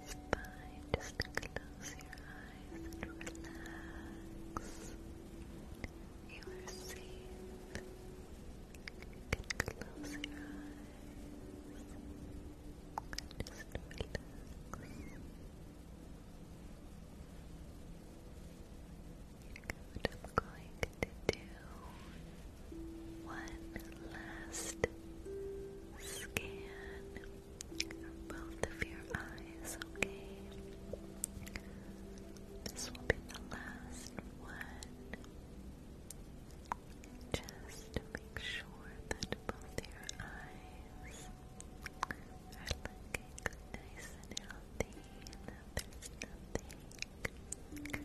just close your eyes and relax. You are close your eyes. Just relax. What i going to do one last scan both of your eyes, okay? This will be the last one. Just make sure that both your eyes are looking nice and healthy and that there's nothing.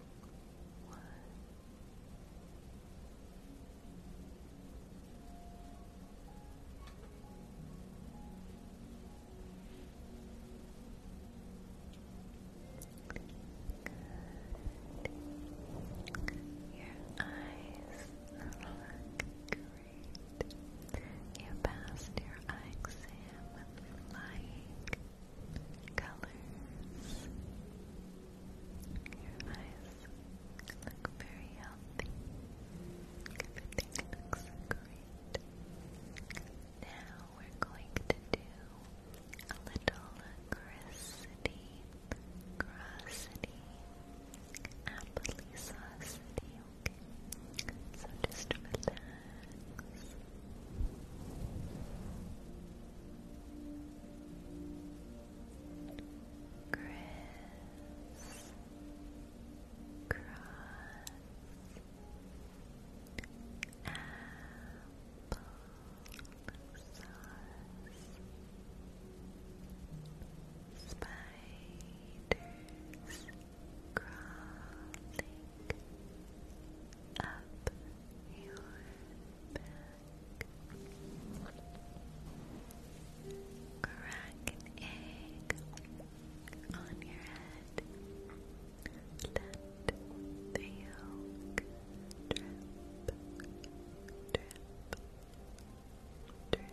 one. Good. Your eyes look great. You passed your eye exam with flying colors. Your eyes look very healthy. Everything looks great. Now we're going to do a little grissity, grossity, applesauce, okay? So just relax. Chris Cross Apple Spiders Crawling up your back. Crack an egg on your head. Let drip, drip, drip, drip, drip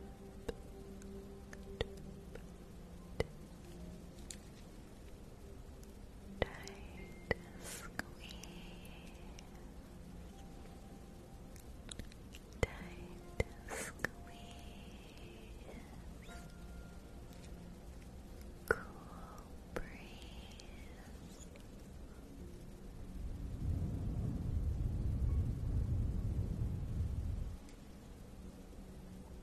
Tight squeeze. Tight squeeze. Cool breeze.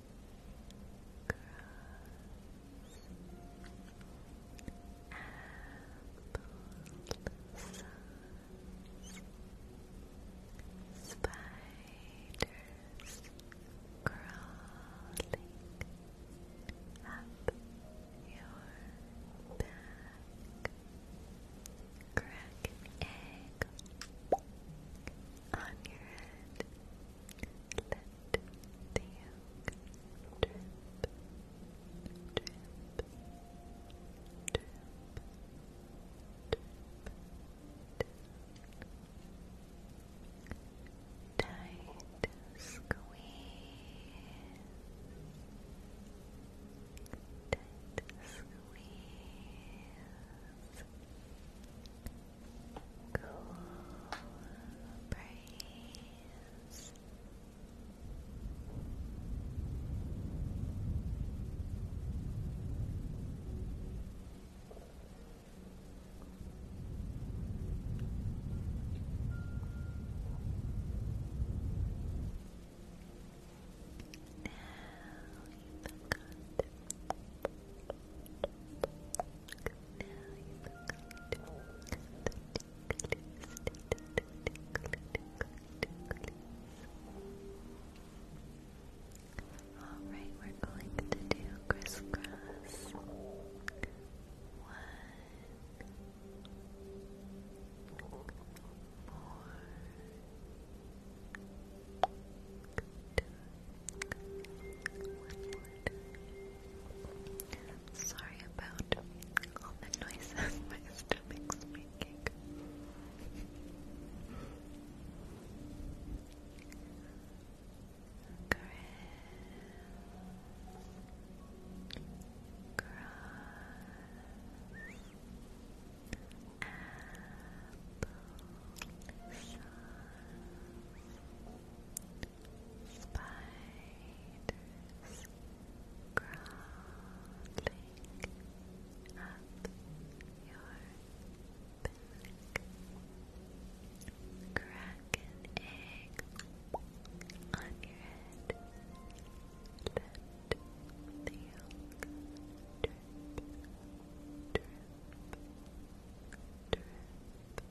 Spiders crawling up your back. Crack an egg on your head. Let the yolk drip, drip, drip, drip. Tight squeeze. Tight squeeze. Tight squeeze cool breeze. Now you've got Alright, we're going to do crisscross. One, four, two, Sorry about all the noises, my stomach's making. Chris. Cross. Apple sauce. Spiders crawling up your back. Crack an on your head. Let the yolk drip, drip, drip. Time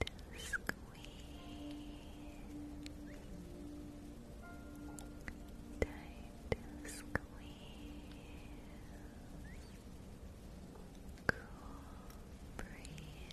to squeeze. Time to squeeze. Cool breeze.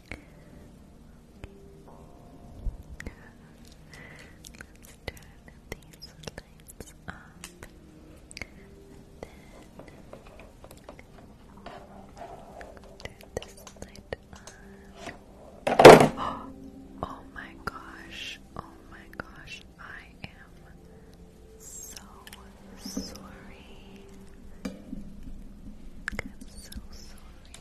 Let's turn these lights up. then turn this light on. Oh, oh my gosh. Oh my gosh. I am so sorry. I'm so sorry.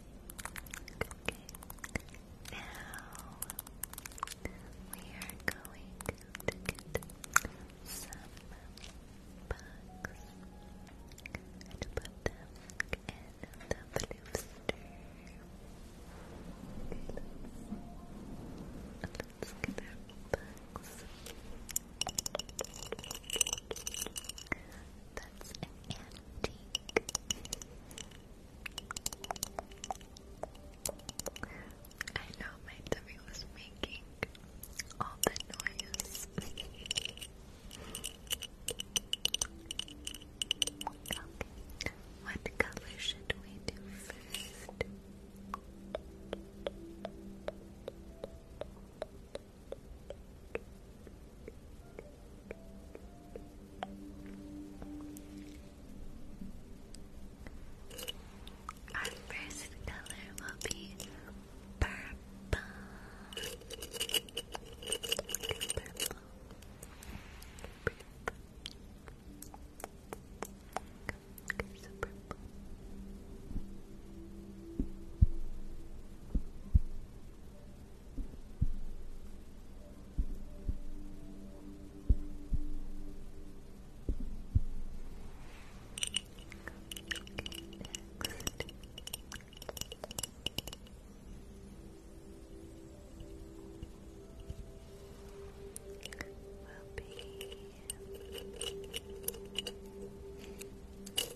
Okay. Now we are going to get some bugs and put them in the booster. Let's get our bugs. That's an I know my tummy was making all the noise. What color should we do first? Our first color will be purple. purple. purple. Purple, be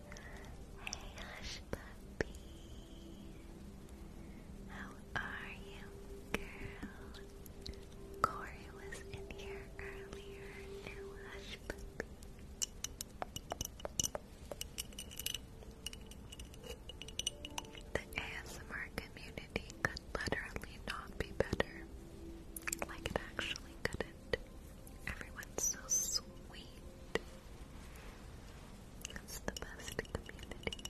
Hey, hush puppy. How are you, girl? Corey was in here earlier. hush puppy. The ASMR community could literally not be better. Like it actually couldn't. Everyone's so sweet. It's the best community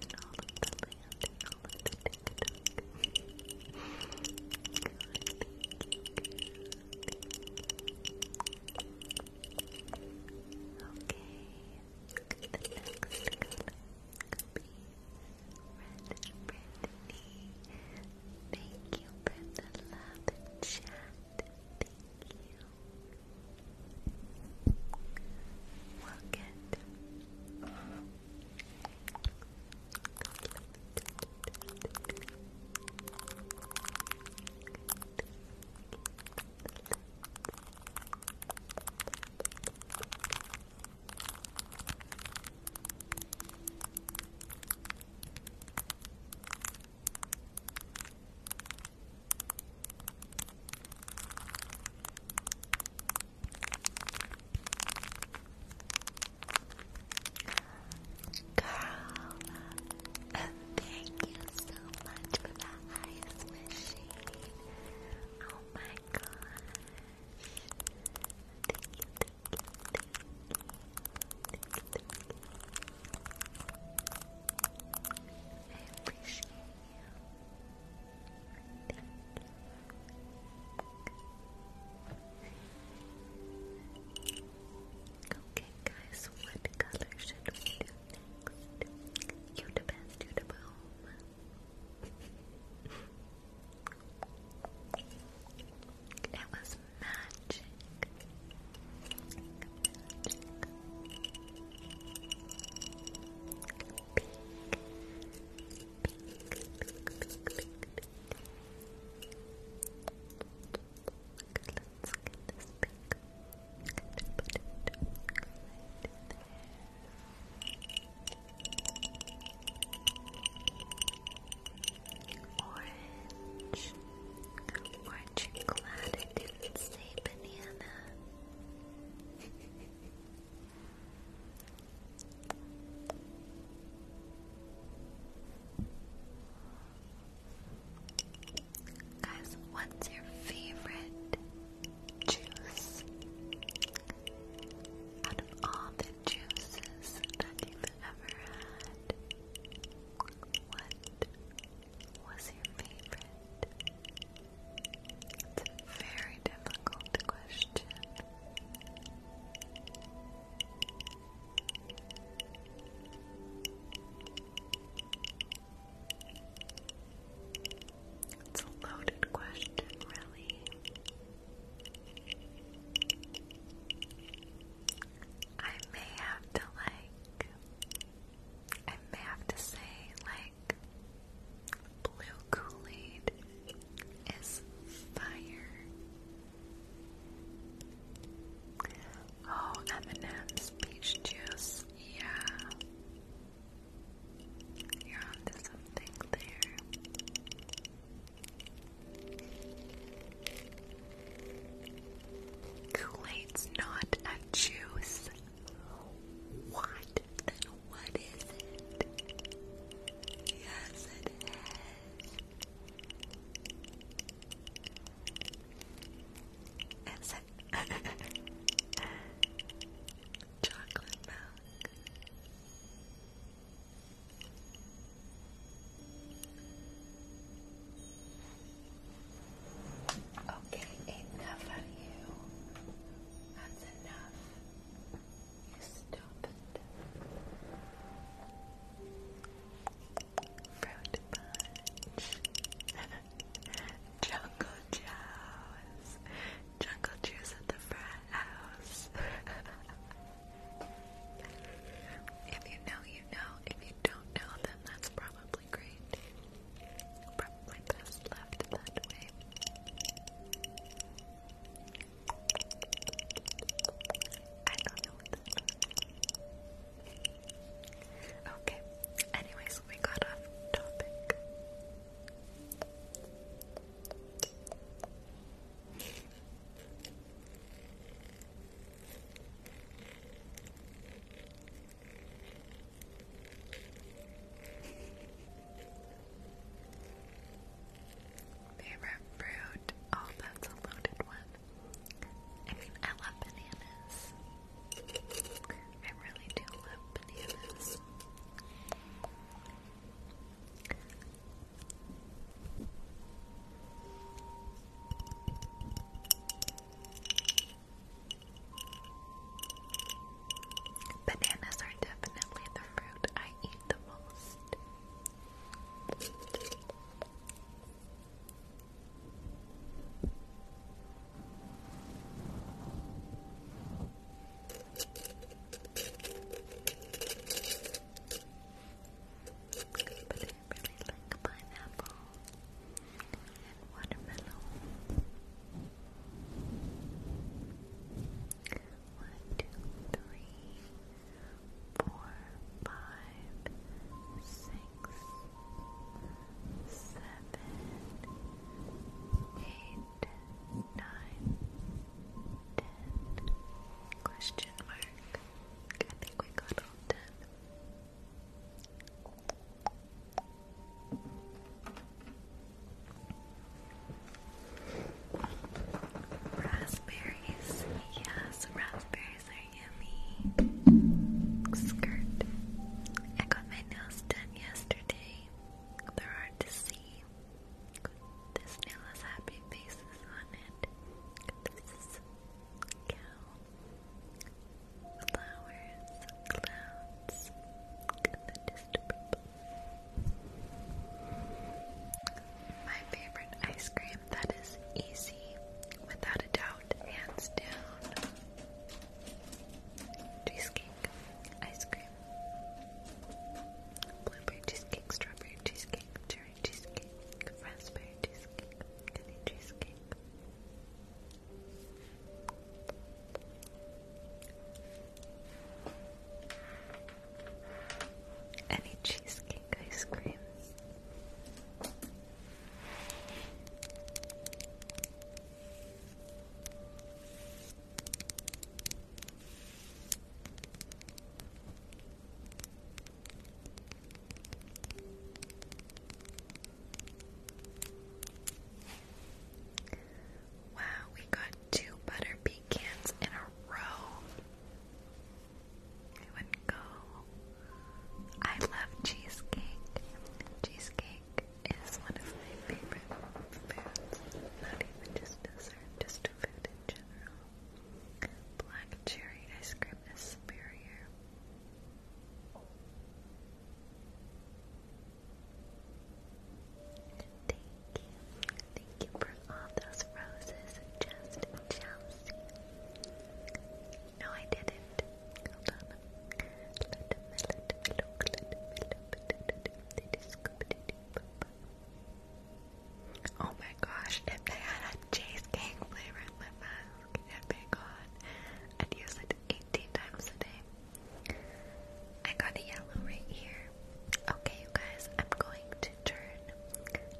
in all of the land, in all of the TikTok. Okay, the next color could be red, Thank you for the love and chat. Thank you. Work it. Good. Carl, thank you so much for the ice machine. Oh my gosh. Thank you. Okay, guys, what color should we do next? You the It was magic. Orange. Orange and glad it didn't say banana. Guys, what's your favorite juice? Out of all the juices that you've ever had, what was your favorite? It's a very difficult question. It's a loaded question, really. I may have to like I may have to say, like, blue Kool Aid is fire. Oh, M&M's peach juice, yeah. You're onto something there. Kool-Aid's not a juice. What? Then what is it? Yes, it is. Is it chocolate milk? Okay, enough of you. That's enough. You stop Fruit punch. Jungle Joe's. Jungle Joe's at the front house. if you know, you know. If you don't know, then that's probably great. Probably best left that way. I know Okay. Anyways, we got off topic. Favorite fruit? Oh, that's a loaded one. I mean, I love bananas. I really do love bananas. Bananas are definitely the fruit I eat the most. But I really like pineapple and watermelon. One, two, three, four, five, six, seven, eight, nine, ten. Question mark. I think we got all ten. Raspberries, yes, raspberries are yummy. Skirt. I got my nails done yesterday. They're hard to see. This nail has happy faces on it. This flowers, clouds, and the distant people. My favorite ice cream that is easy, without a doubt, hands down. Cheesecake, ice cream, blueberry cheesecake, strawberry cheesecake, cherry cheesecake, raspberry cheesecake, candy cheesecake. Any cheesecake ice cream? Wow, we got two butter pecans in a row. It would go. I love cheesecake. Cheesecake is one of my favorite foods. Not even just dessert, just food in general. Black cherry ice cream is superior. Thank you. Thank you for all those roses, just Chelsea. No, I didn't. Oh my gosh, if they had a cheesecake flavor in my mask, it'd oh be I'd use it 18 times a day. I got a yellow right here. Okay, guys, I'm going to turn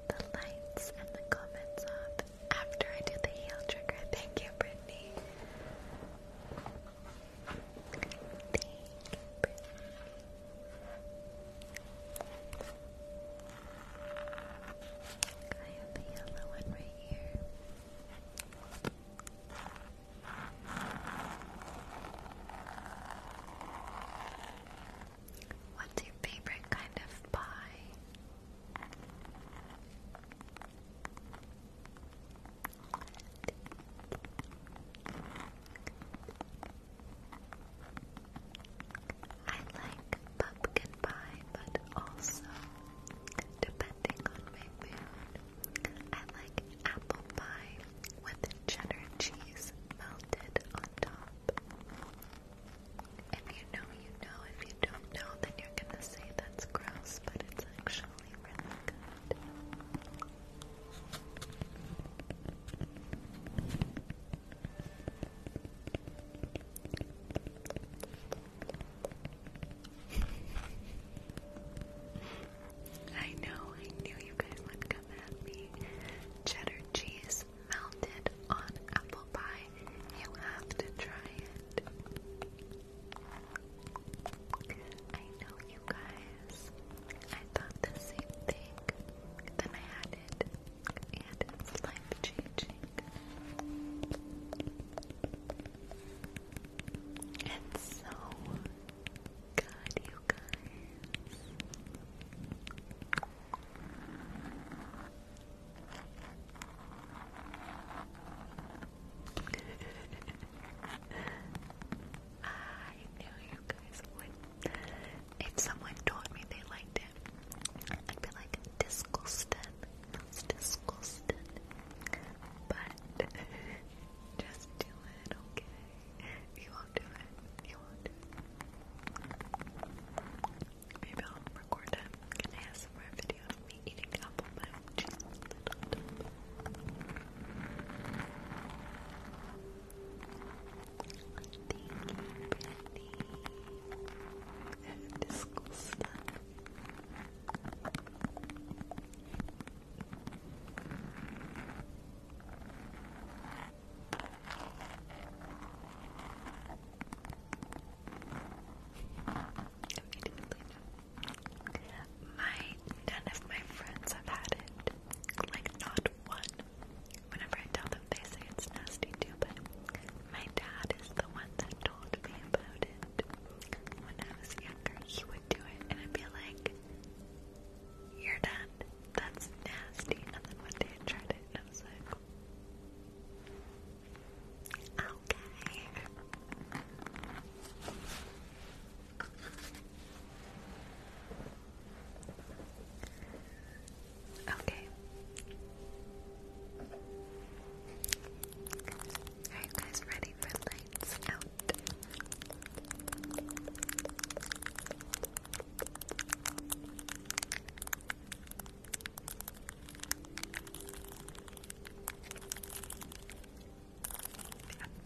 the lights and the comments off after I do the heel trigger. Thank you, Brittany. I have a yellow one right here. What's your favorite kind of pie? I like pumpkin pie, but also, depending on my mood, I like apple pie with cheddar cheese melted on top. If you know, you know. If you don't know, then you're gonna say that's gross, but it's actually really good. I know, I knew you guys would come at me. Cheddar cheese melted on apple pie. You have to try it. I know you guys. I thought the same thing. Then I had it. And life changing. It's so good, you guys. I knew you guys would. If someone told me they liked it, I'd be like, Discleston, it's disgusting. But just do it, okay? You will do it. You will Maybe I'll record it. Can I have some more video of me eating apple pie with Disgusting. My none of my friends have had it. Like not one. Whenever I tell them they say it's nasty too, but my dad is the one that told me about it when he would do it, and I'd be like, "You're done. That's nasty." And then one day I tried it, and I was like, "Okay." Okay. Are you guys ready for like lights out. I'm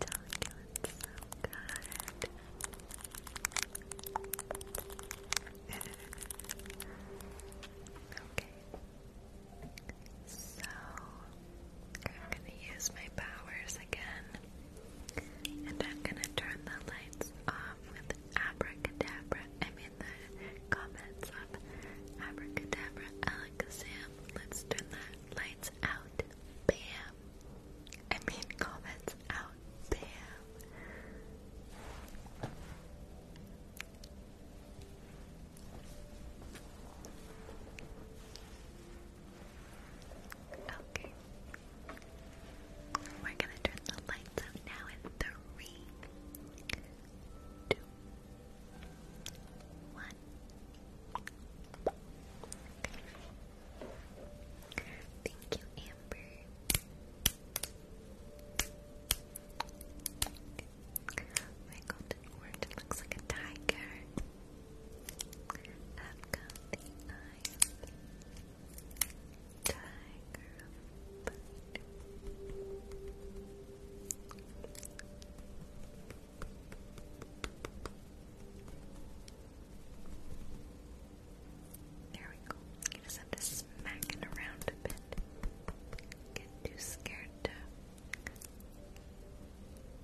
telling you, so good. okay, so, I'm going to use my powers again. And I'm going to turn the lights off with abracadabra. I mean, the comments of abracadabra, alakazam. Let's turn the lights out. Bam. I mean, comments out. Bam. Okay. We're gonna turn the lights up now in three, two, one. Thank you, Amber. We're and looks like a tiger. I've Tiger There we go. You just have to smack it around a bit. Get too scared to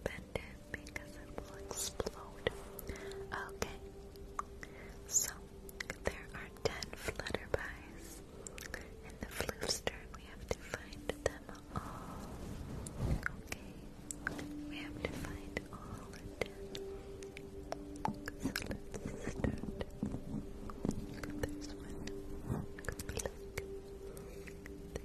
Bend it because it will explode. Okay. So there are ten flutterbies. In the floof's we have to find them all. Okay. We have to find all ten. So let's start. There's one. Good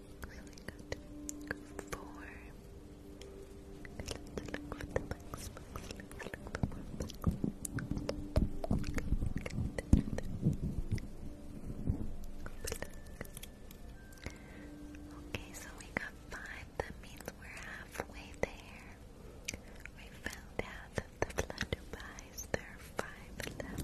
So we Okay, so we got five. That means we halfway there. We found out that the flutterbys, there are five left.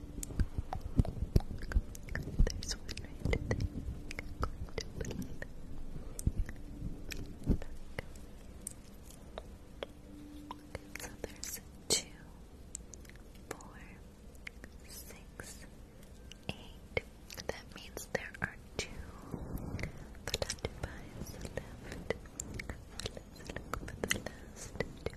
There's one So there's two, four, six, eight. That means there are two flutterflies left. Let's look for the last two.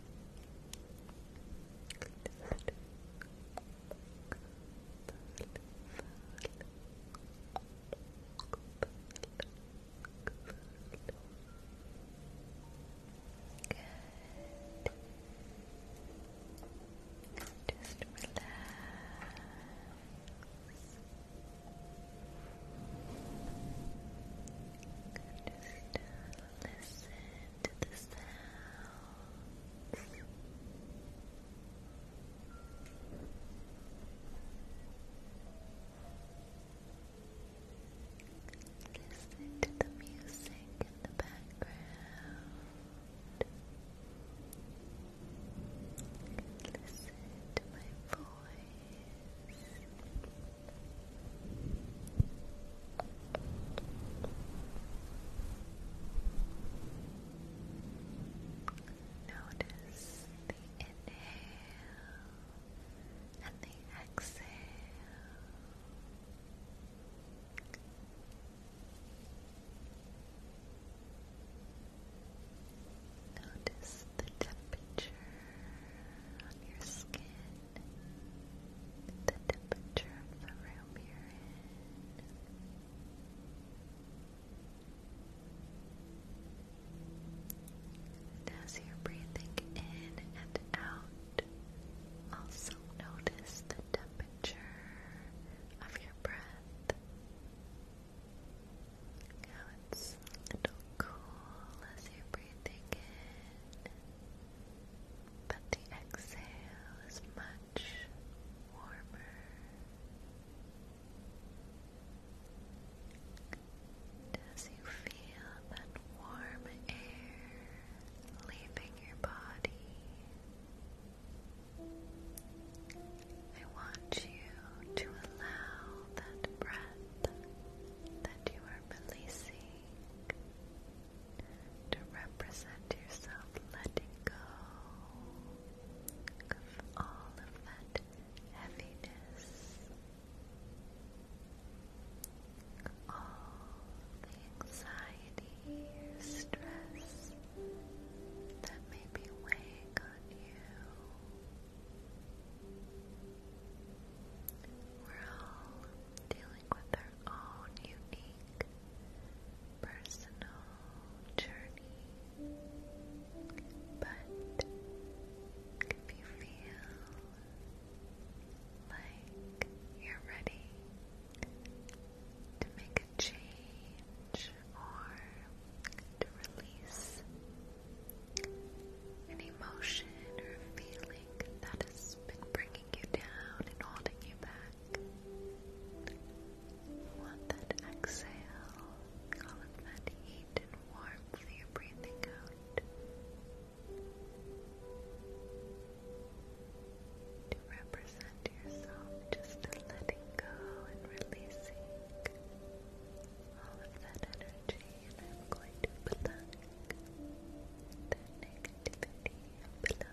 Just relax. Just listen to the sounds. Listen to the music in the background. Listen to my voice. Notice the inhale and the exhale. Notice the temperature on your skin the temperature of the room you're in. as you're breathing in and out, also notice the temperature of your breath. How it's a little cool as you're breathing in but the exhale is much warmer. as you feel that warm air leaving your body, I want you to allow that breath that you are releasing to represent yourself letting go all of that heaviness, all the anxiety stress that may be weighing on you. We're all dealing each with their own unique personal journey. But if you feel like you're ready to make a change or to release an emotion or feeling that has been bringing you down and holding you back, Want that exhale, all of that heat and warmth that you're breathing out to represent yourself just letting go and releasing all of that energy and I'm going to plug that negativity below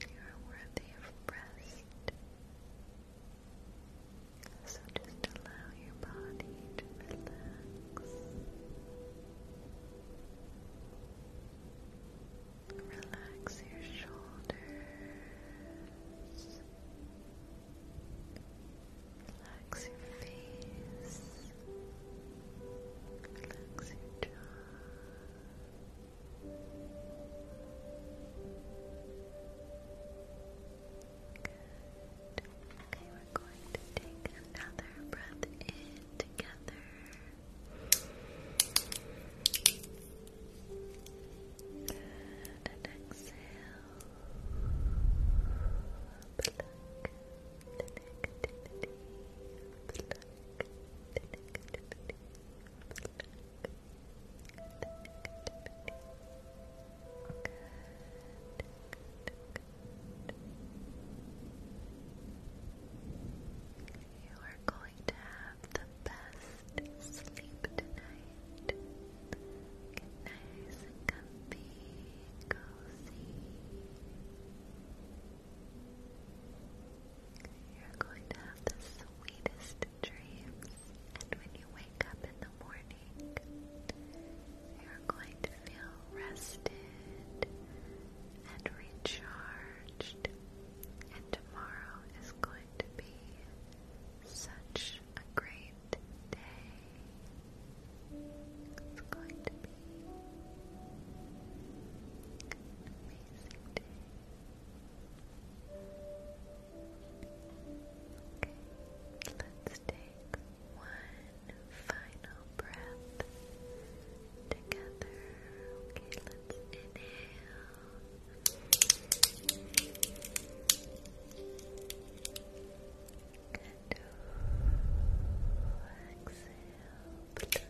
You are worthy of rest. So just allow your body to relax. Relax your shoulders. Relax your face. Relax your jaw. Okay, we're going to take another breath in together. Good. And exhale. You are going to have the best sleep tonight. nice comfy, cozy. You're going to have the sweetest dreams, and when you wake up in the morning, you're going to feel rested and recharged, and tomorrow is going to be such a great day. It's going to be Okay, let's take one final breath together. Okay, let's inhale. And exhale.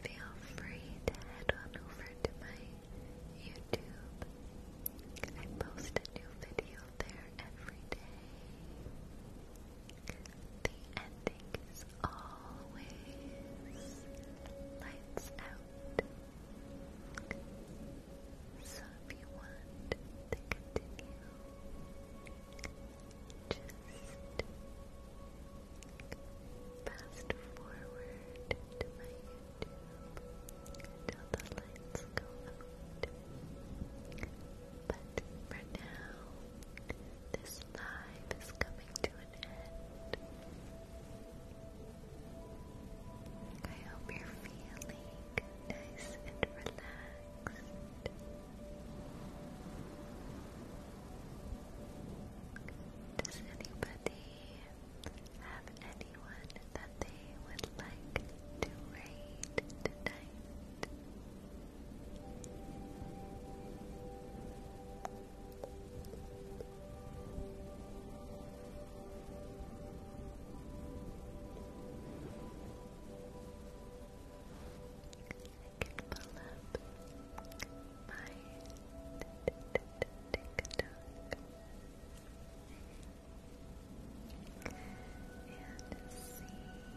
Feel free to head on over to my YouTube. I post a new video there every day. The ending is always lights out. So if you want to continue, fast forward to my YouTube until the lights go out. But for now, this live is coming to an end. I hope you're feeling nice and relaxed. Does anybody have anyone that they would like to raid tonight? can pull up my TikTok and see who we can raid. There's tons of people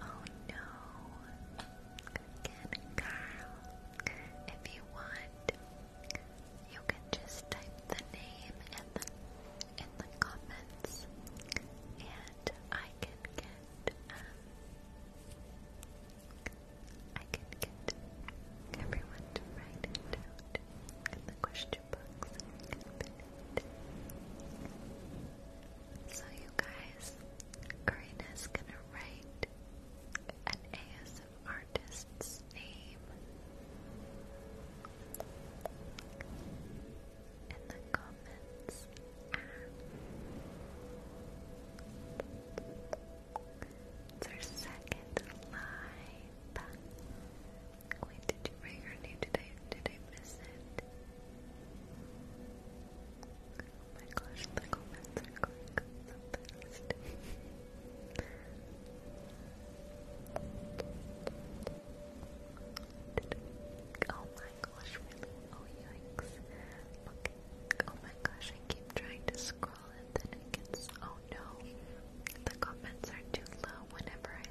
Oh no. Again, Carl. If you want, you can just type the name in the in the comments, and I can get I can get everyone to write it the question books So you guys, Karina's gonna write an ASM artist's name in the comments it's second live Wait, did you bring her name? Did did I miss it? Oh my gosh, the comments are going up so oh my gosh, really? Oh yikes. Oh my gosh, I keep trying to scroll and then it gets. Oh no. The comments are too low whenever I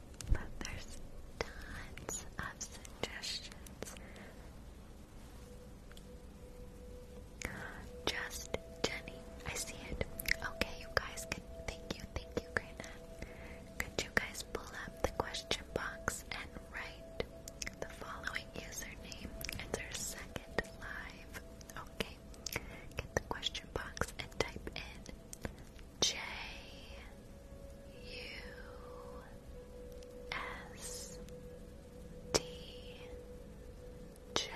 But there's tons of suggestions. Just Jenny, I see it. Okay, you guys can. Thank you, thank you, Grana. Could you guys pull up the question box and write the following username as our second live? Okay, get the question box and type in J U S T J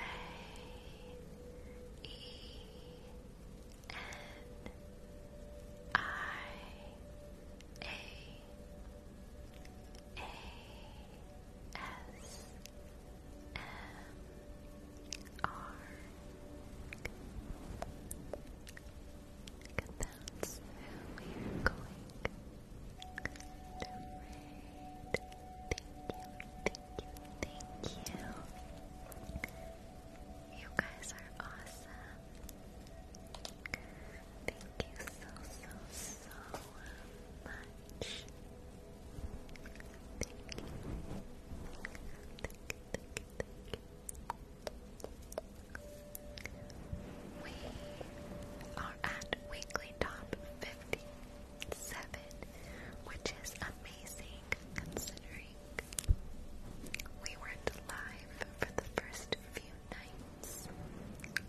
E N I A A S M arc. that's who we are going to raid. Thank you, thank you, thank you. You guys are awesome. Thank you so, so, so much. Thank you. We are at weekly top 57, which is amazing considering we weren't live for the first few nights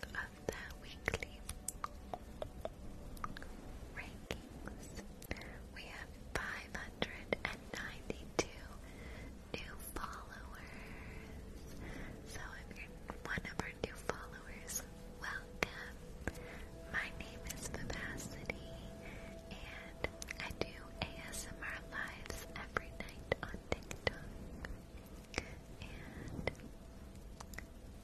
of the weekly rankings. We have 500 192 new followers. So if you one of our new followers, welcome. My name is Vivacity and I do ASMR lives every night on TikTok. And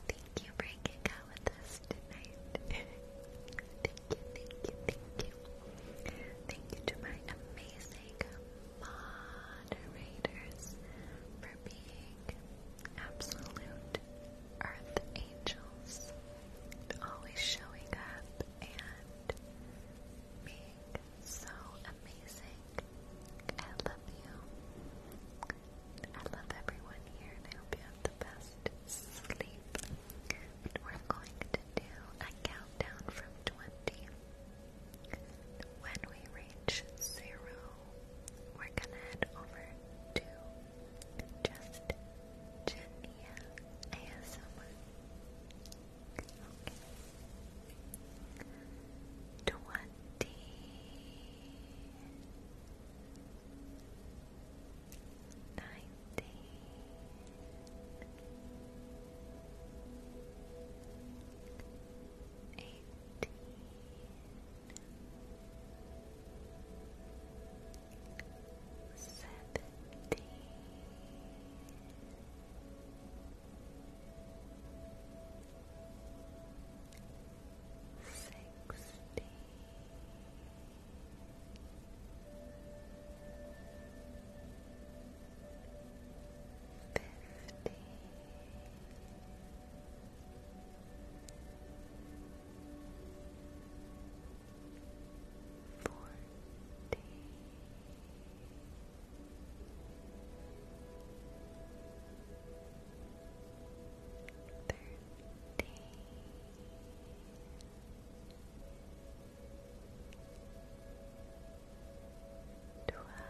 thank you for hanging out with us tonight. Thank you, thank you, thank you. Thank you to my amazing moderators for being absolute earth angels, always showing up and being so amazing. I love you. I love everyone here and you have the best sleep. We're going to do a countdown from 20. When we reach zero, we're gonna head over to just Jania ASMR. Okay. Twenty nineteen, eighteen, seventeen. Sixteen, fifteen, Fifty. Forty. Thirty. Twenty-five twelve Eleven.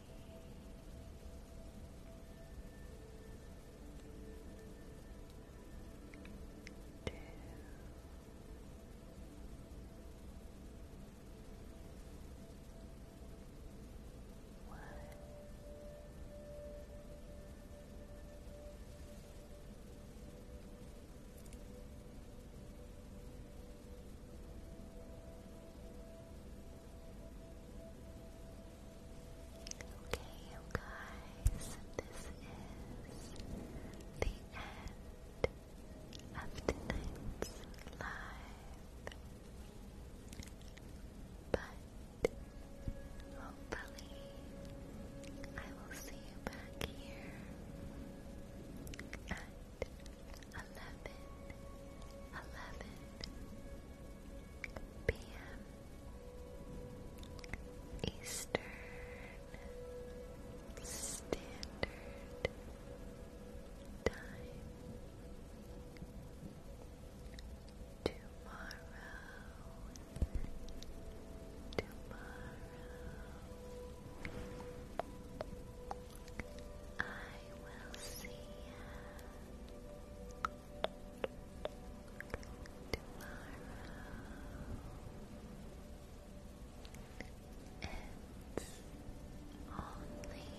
Two. One. Zero. Okay, you guys, this is the end of tonight's live. But hopefully, I will see you back here at eleven, eleven p.m. Eastern Standard Time. Tomorrow, tomorrow, I will see you tomorrow. It's only a day away.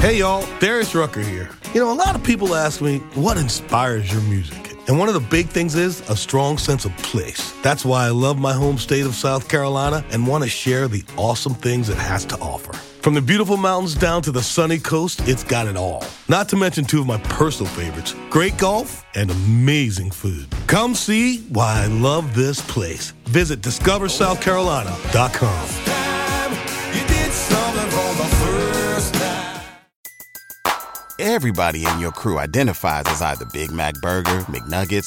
Hey y'all, Darius Rucker here. You know, a lot of people ask me, what inspires your music? And one of the big things is a strong sense of place that's why I love my home state of South Carolina and want to share the awesome things it has to offer. From the beautiful mountains down to the sunny coast, it's got it all. Not to mention two of my personal favorites great golf and amazing food. Come see why I love this place. Visit discoversouthcarolina.com. Everybody in your crew identifies as either Big Mac Burger, McNuggets,